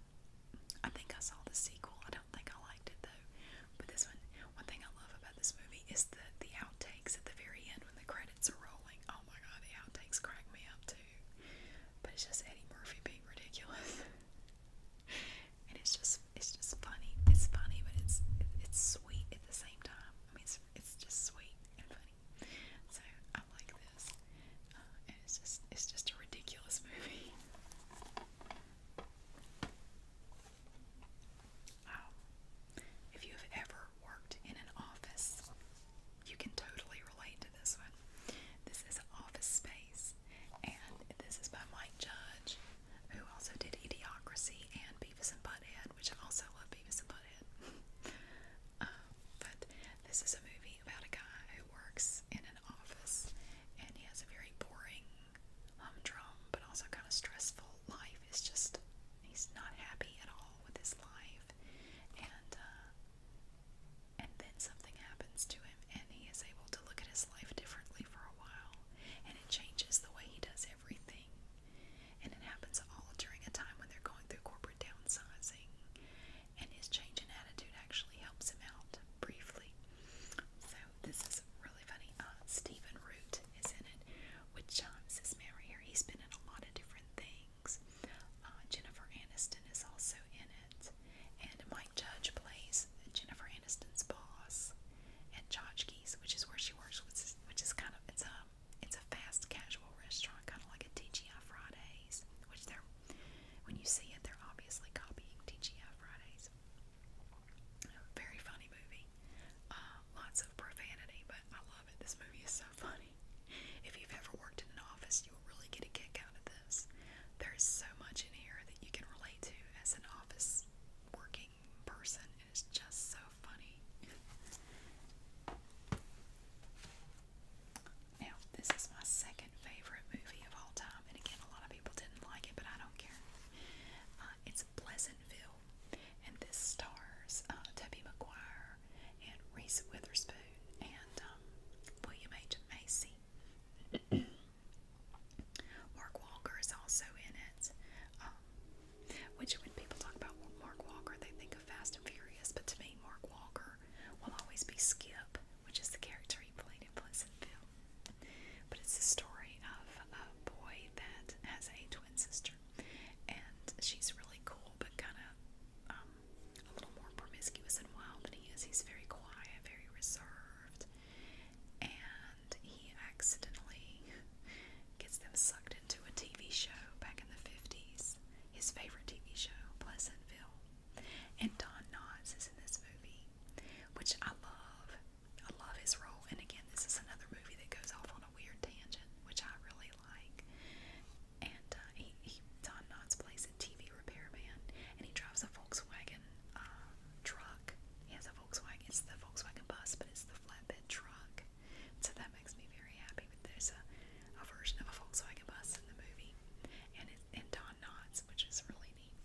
A: I think I saw the sequel. I don't think I liked it though. But this one, one thing I love about this movie is the the outtakes at the very end when the credits are rolling. Oh my god, the outtakes crack me up too. But it's just Eddie Murphy being ridiculous. and it's just it's just funny. It's funny, but it's it's sweet at the same time. I mean, it's just sweet and funny. So I like this. Uh, and it's just it's just a ridiculous movie. Wow. If you have ever worked in an office, you can totally relate to this one. This is Office Space, and this is by Mike Judge, who also did Idiocracy and Beavis and Butt Head, which I also love Beavis and Butt Head, uh, but this is a movie about a guy who works in an office, and he has a very boring, humdrum, but also kind of stressful life. It's just he's not happy at all with his life, and uh, and then something happens to him, and he is able to look at his life differently for a while, and it changes the way he does everything. And it happens all during a time when they're going through corporate downsizing, and his changing attitude actually helps him out briefly. So, this is really funny. Uh, Stephen Root is in it, which chimes uh, his man right here. He's been in a lot of different things. Uh, Jennifer Aniston is also in it, and my playing Judge plays Jennifer Aniston's boss at Tchotchke's, which is where she works, which is, which is kind of it's a it's a fast casual restaurant, kind of like a TGI Fridays, which they're when you see it, they're obviously copying TGI Fridays. Very funny movie, uh, lots of profanity, but I love it. This movie is so funny. If you've ever worked in an office, you will really get a kick out of this. There's so much in here that you can relate to as an office working person. It is just so funny. now, this is my second favorite movie of all time, and again, a lot of people didn't like it, but I don't care. Uh, it's Pleasantville, and this stars uh, Tobey Maguire and Reese Witherspoon and um, William H. Macy. Mark Walker is also in it. Um, which, when people talk about Mark Walker, they think of Fast and Furious, but to me, Mark Walker will always be Skip, which is the character he played in Pleasantville. But it's the story of a boy that has a twin sister, and she's really cool, but kind of um, a little more promiscuous and wild than he is. He's very quiet, very reserved, and he accidentally gets them sucked into a TV show back in the 50s, his favorite TV show, Pleasantville. And Don Knotts is in this movie, which I love. I love his role. And again, this is another movie that goes off on a weird tangent, which I really like. And uh, he, Don Knotts plays a TV repairman, and he drives a Volkswagen um, truck. He a Volkswagen. It's the Volkswagen bus, but it's the flatbed truck. So that makes me very happy. But there's a, a version of a Volkswagen bus in the movie, and it, and Don Knotts, which is really neat.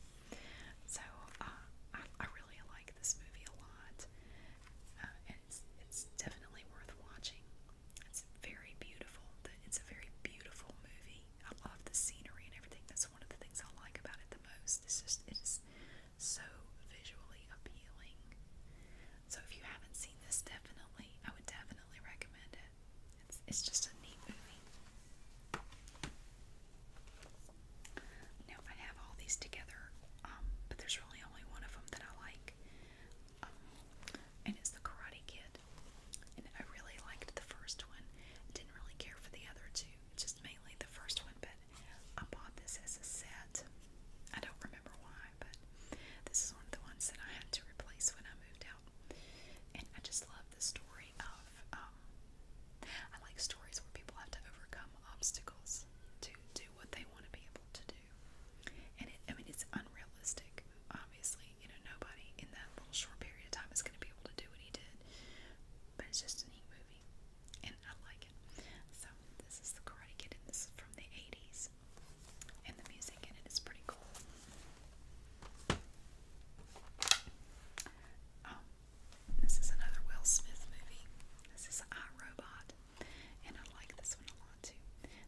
A: So uh, I, really like this movie a lot, uh, and it's it's definitely worth watching. It's very beautiful. It's a very beautiful movie pretty. I love the scenery and everything. That's one of the things I like about it the most. It's just it is so visually appealing. So if you haven't seen this, definitely I would definitely recommend it. It's it's just a neat movie. Now I have all these together, um, but there's really only one of them that I like, um, and it's the Karate Kid. And I really liked the first one. Didn't really care for the other two just mainly the first one, but I bought this as a set. I don't remember why, but this is one of the ones that I had to replace when I moved out. And I just love the story of, um, I like stories where people have to overcome obstacles to do what they want to be able to do. And it, I mean, it's unrealistic. Obviously, you know, nobody in that little short period of time is going to be able to do what he did. But it's just a neat movie, and I like it. So this is the Karate Kid, and this is from the '80s, and the music in it is pretty cool. Um, this is another Will Smith movie. This is I Robot, and I like this one a lot too.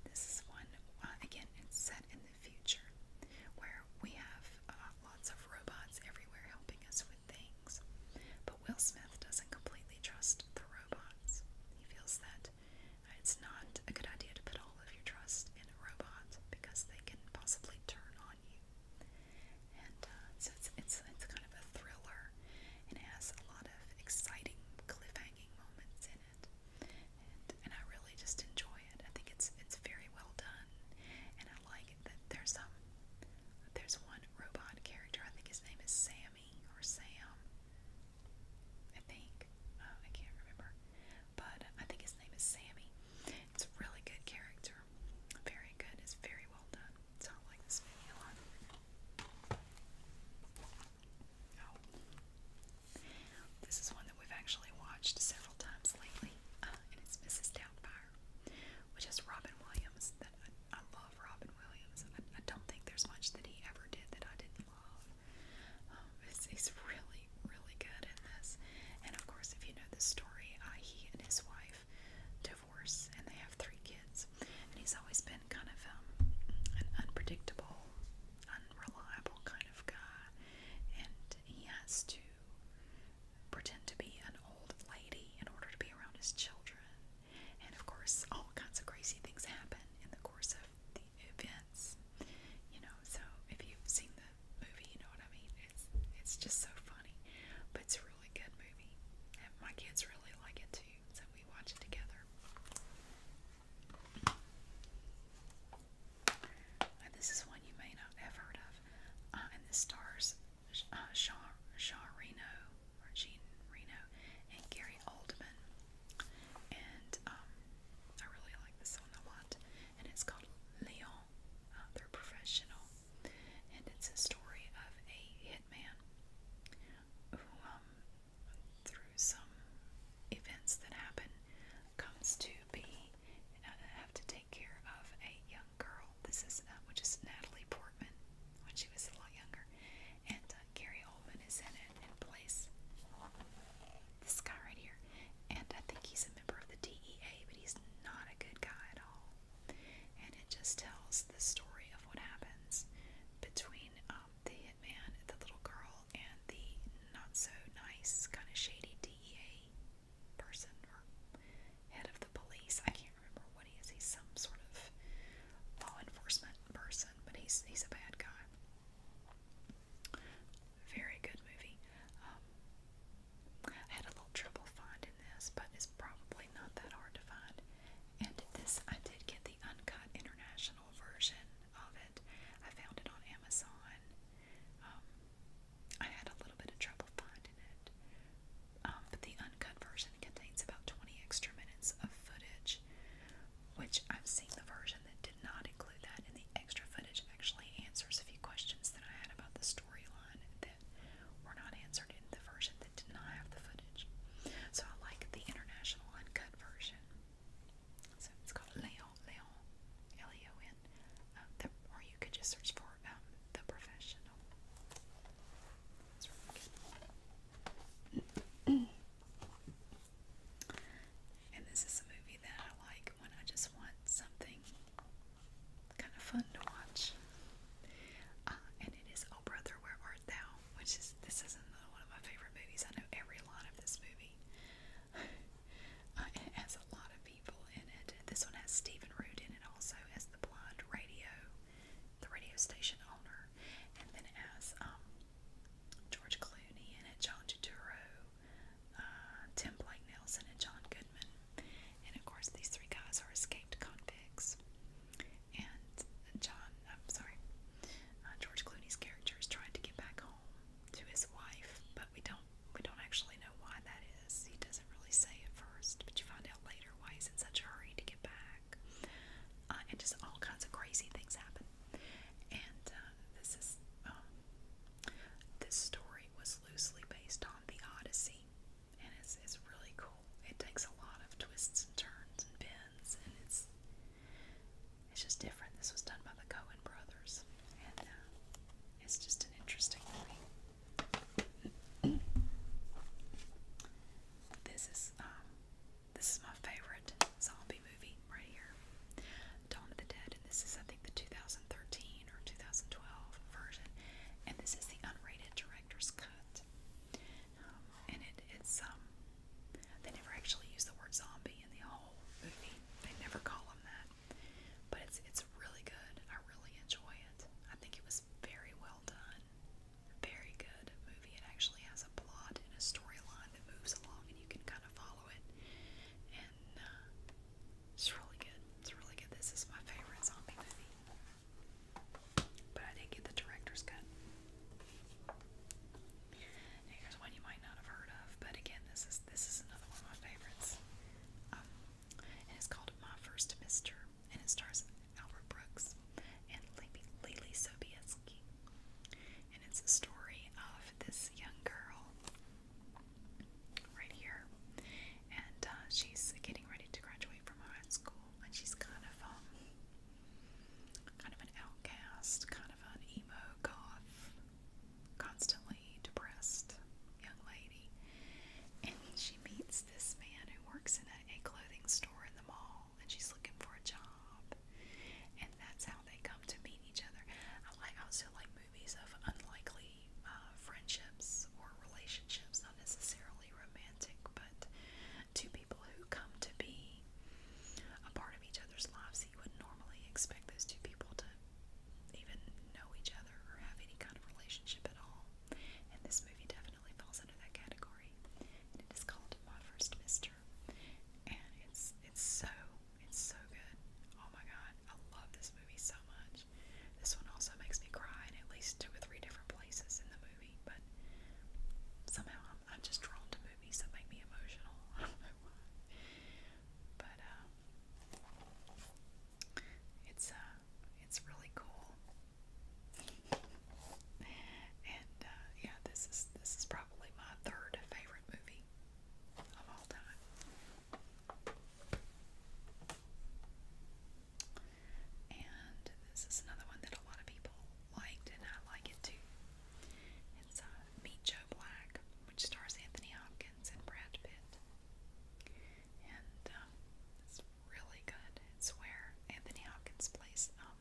A: This is one uh, again. It's set in the future, where we have uh, lots of robots everywhere helping us with things. But Will Smith doesn't completely trust the robots. He feels that it's not a good idea to put all of your trust in a robot because they can possibly turn on you. And uh, so it's, it's, it's kind of a thriller and it has a lot of exciting cliffhanging moments in it. And, and I really just enjoy it. I think it's it's very well done, and I like there's some um, there's one robot character, I think his name is Sammy or Sam. I think. Uh, I can't remember. But I think his name is Sammy. It's a really good character. Very good. It's very well done. I like this movie oh. This is one that we've actually watched several times lately. Uh, and it's Mrs. Doubtfire. Empire, which has Robin Williams. That I, I love Robin Williams. I, I don't think there's much that he ever did that I didn't love. Um, it's, he's really, really good in this. And of course, if you know the story, uh, he and his wife divorce, and they have three kids. And he's always been kind of um, an unpredictable, unreliable kind of guy, and he has to pretend to be an old lady in order to be around his children. And of course, all kinds of crazy things happen in the course of the events. You know, so if you've seen the movie, you know what I mean. It's it's just so funny, but it's a really good movie. And my kids really like it too, so we watch it together. And this is one you may not have heard of uh, and this stars uh, Sean, Sean Reno or Gene Reno and Gary Oldman. And um, I really like this one a lot. And it's called Leon, uh, They're Professional. And it's a story of a hitman who, um, through some events that happen, comes to be, uh, have to take care of a young young girl. This is uh, which is Natalie Portman when she was a lot younger, and uh, Gary Oldman is in it and plays this guy right here. And I think he's a member of the DEA, but he's not a good guy at all. And it just tells the story of what happens between um, the hitman, the little girl, and the not so nice kind of shady DEA person or head of the police. I can't remember what he is. He's some sort of law enforcement person, but he's he's a bad guy. Very good movie. Um, I had a little trouble finding this, but it's probably not that hard to find. And this, I did get the uncut international version of it. I found it on Amazon. Um, I had a little bit of trouble finding it, um, but the uncut version contains about 20 extra minutes of footage, which I've seen the version that did not include that, and the extra footage actually answers a few questions that I had about the storyline that were not answered in the version that did not have the footage. So I like the international uncut version. So it's called Leon, Leon, L E O in, um, the, or you could just search for um, the professional. That's really and this is a movie that I like when I just want something kind of fun to watch. Uh, and it is Oh Brother, Where Art Thou? Which is this is another one of my favorite movies. I know every line of this movie. Uh, it has a lot of people This one has Stephen Root in it also as the Blood radio, the radio station owner, and then as um, George Clooney in it, John Turturro, uh, Tim Blake Nelson, and John Goodman. And of course, these three guys are escaped convicts. And John, I'm sorry, uh, George Clooney's character is trying to get back home to his wife, but we don't we don't actually know why that is. He doesn't really say it first, but you find out later why he's in such a hurry to get back. Uh, and just all kinds of crazy things happen. And uh, this is um, this story was loosely based on the Odyssey, and it's it's really cool. It takes a lot of twists and turns and bends, and it's it's just different. This was done by the Cohen brothers, and uh, it's just an interesting movie this is um this is my favorite zombie movie right here. Dawn of the Dead and this is I think the 2013 or 2012 version and this is the unrated director's cut. Um, and it it's um they never actually use the word zombie in the whole movie. They never call them that. But it's it's really good. I really enjoy it. I think it was very well done. Very good movie. It actually has a plot and a storyline that moves along, and you can kind of follow it. And uh, it's really good. It's really good. This is my favorite zombie movie. But I did get the director's cut. Here's one you might not have heard of, but again, this is this is another one of my favorites. Um, and it's called My First Mister, and it stars Albert Brooks and Lily Sobieski. And it's a story of this young girl right here, and uh, she's getting ready to graduate from high school, and she's kind of um, kind of an outcast, kind of an emo goth, constantly depressed young lady. And she meets this man who works in a, clothing store in the mall and she's looking for a job. And that's how they come to meet each other. I like also like movies of unlikely uh, friendships or relationships, not necessarily romantic, but two people who come to be a part of each other's lives you would normally expect those two people to even know each other or have any kind of relationship at all and this movie definitely falls under that category. And it is called My First Mister, and it's it's so it's so good. Oh my god, I love this movie so much. This one also makes me cry in at least two or three different places in the movie, but somehow I'm, just drawn to movies that make me emotional. but um, it's uh, it's really cool. And uh, yeah, this is this is probably my third favorite movie of all time. And this is another one that a lot of people liked, and I like it too. It's uh, Meet Joe Black, which stars Anthony Hopkins and Brad Pitt and um, it's really good. It's where Anthony Hopkins plays um,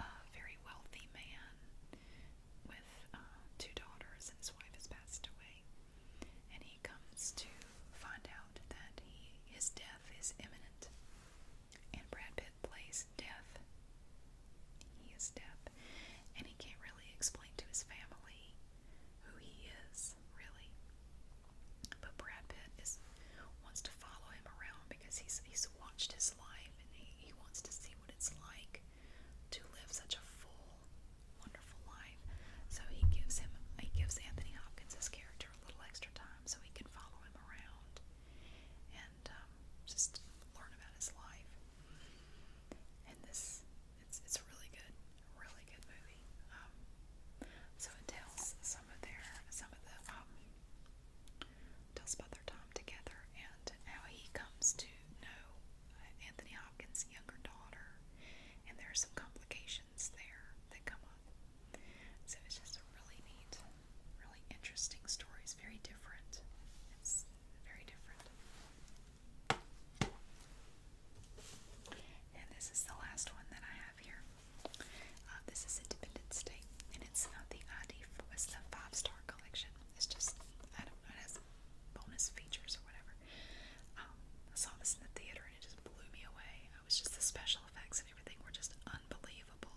A: a very wealthy man with uh, two daughters, and his wife has passed away, and he comes to find out that he his death is imminent. And Brad Pitt plays death. He is death, and he can't really explain to his family who he is, really. But Brad Pitt is wants to follow him around because he's he's watched his life and he, he wants to see what it's like to live such a full, wonderful life. So he gives him he gives Anthony Hopkins his character a little extra time so he can follow him around and um, just learn about his life. And this it's it's really good, really good movie. Um, so it tells some of their some of the um, tells about their time together and how he comes to know uh, Anthony Hopkins' younger daughter, and there are some complications there that come up. So it's just really neat, really interesting story. very different. It's very different. And this is the last one that I have here. Uh, this is Independence Day, and it's not the ID, it's the five star collection. It's just, I don't know, it has bonus features or whatever. Um, I saw this in the theater and it just blew me away. I was just, the special effects and everything were just unbelievable.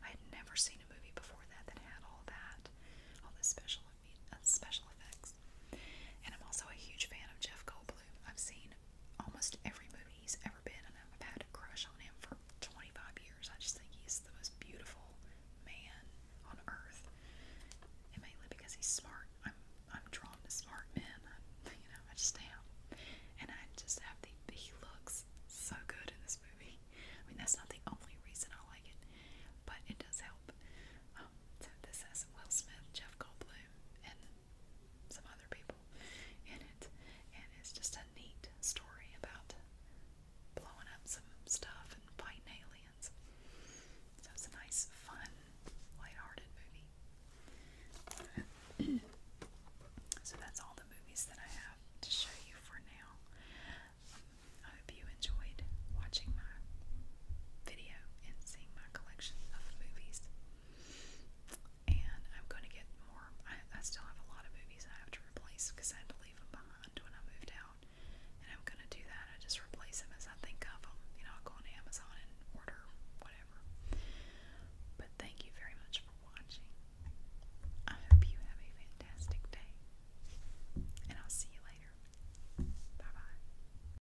A: I had never seen a movie before that that had all that, all the special, uh, special effects else. And I'm also a huge fan of Jeff Goldblum. I've seen almost every movie he's ever been in, and I've had a crush on him for 25 years. I just think he's the most beautiful man on earth, and mainly because he's smart. I'm I'm drawn to smart men. I, you know, I just am, and I just have the he looks so good in this movie. I mean, that's not the only reason I like it, but it does help. Oh, so this has Will Smith, Jeff Goldblum, and some other people in it. And it's just a neat story about blowing up some stuff and fighting aliens. So it's a nice, fun, lighthearted movie. so that's all the movies that I have to show you for now. Um, I hope you enjoyed watching my video and seeing my collection of movies. And I'm going to get more. I, still have a lot of movies I have to replace because I had to leave them behind when I moved out. And I'm going to do that. I just replace them as I think of them. You know, I'll go on Amazon and order whatever. But thank you very much for watching. I hope you have a fantastic day. And I'll see you later. Bye bye.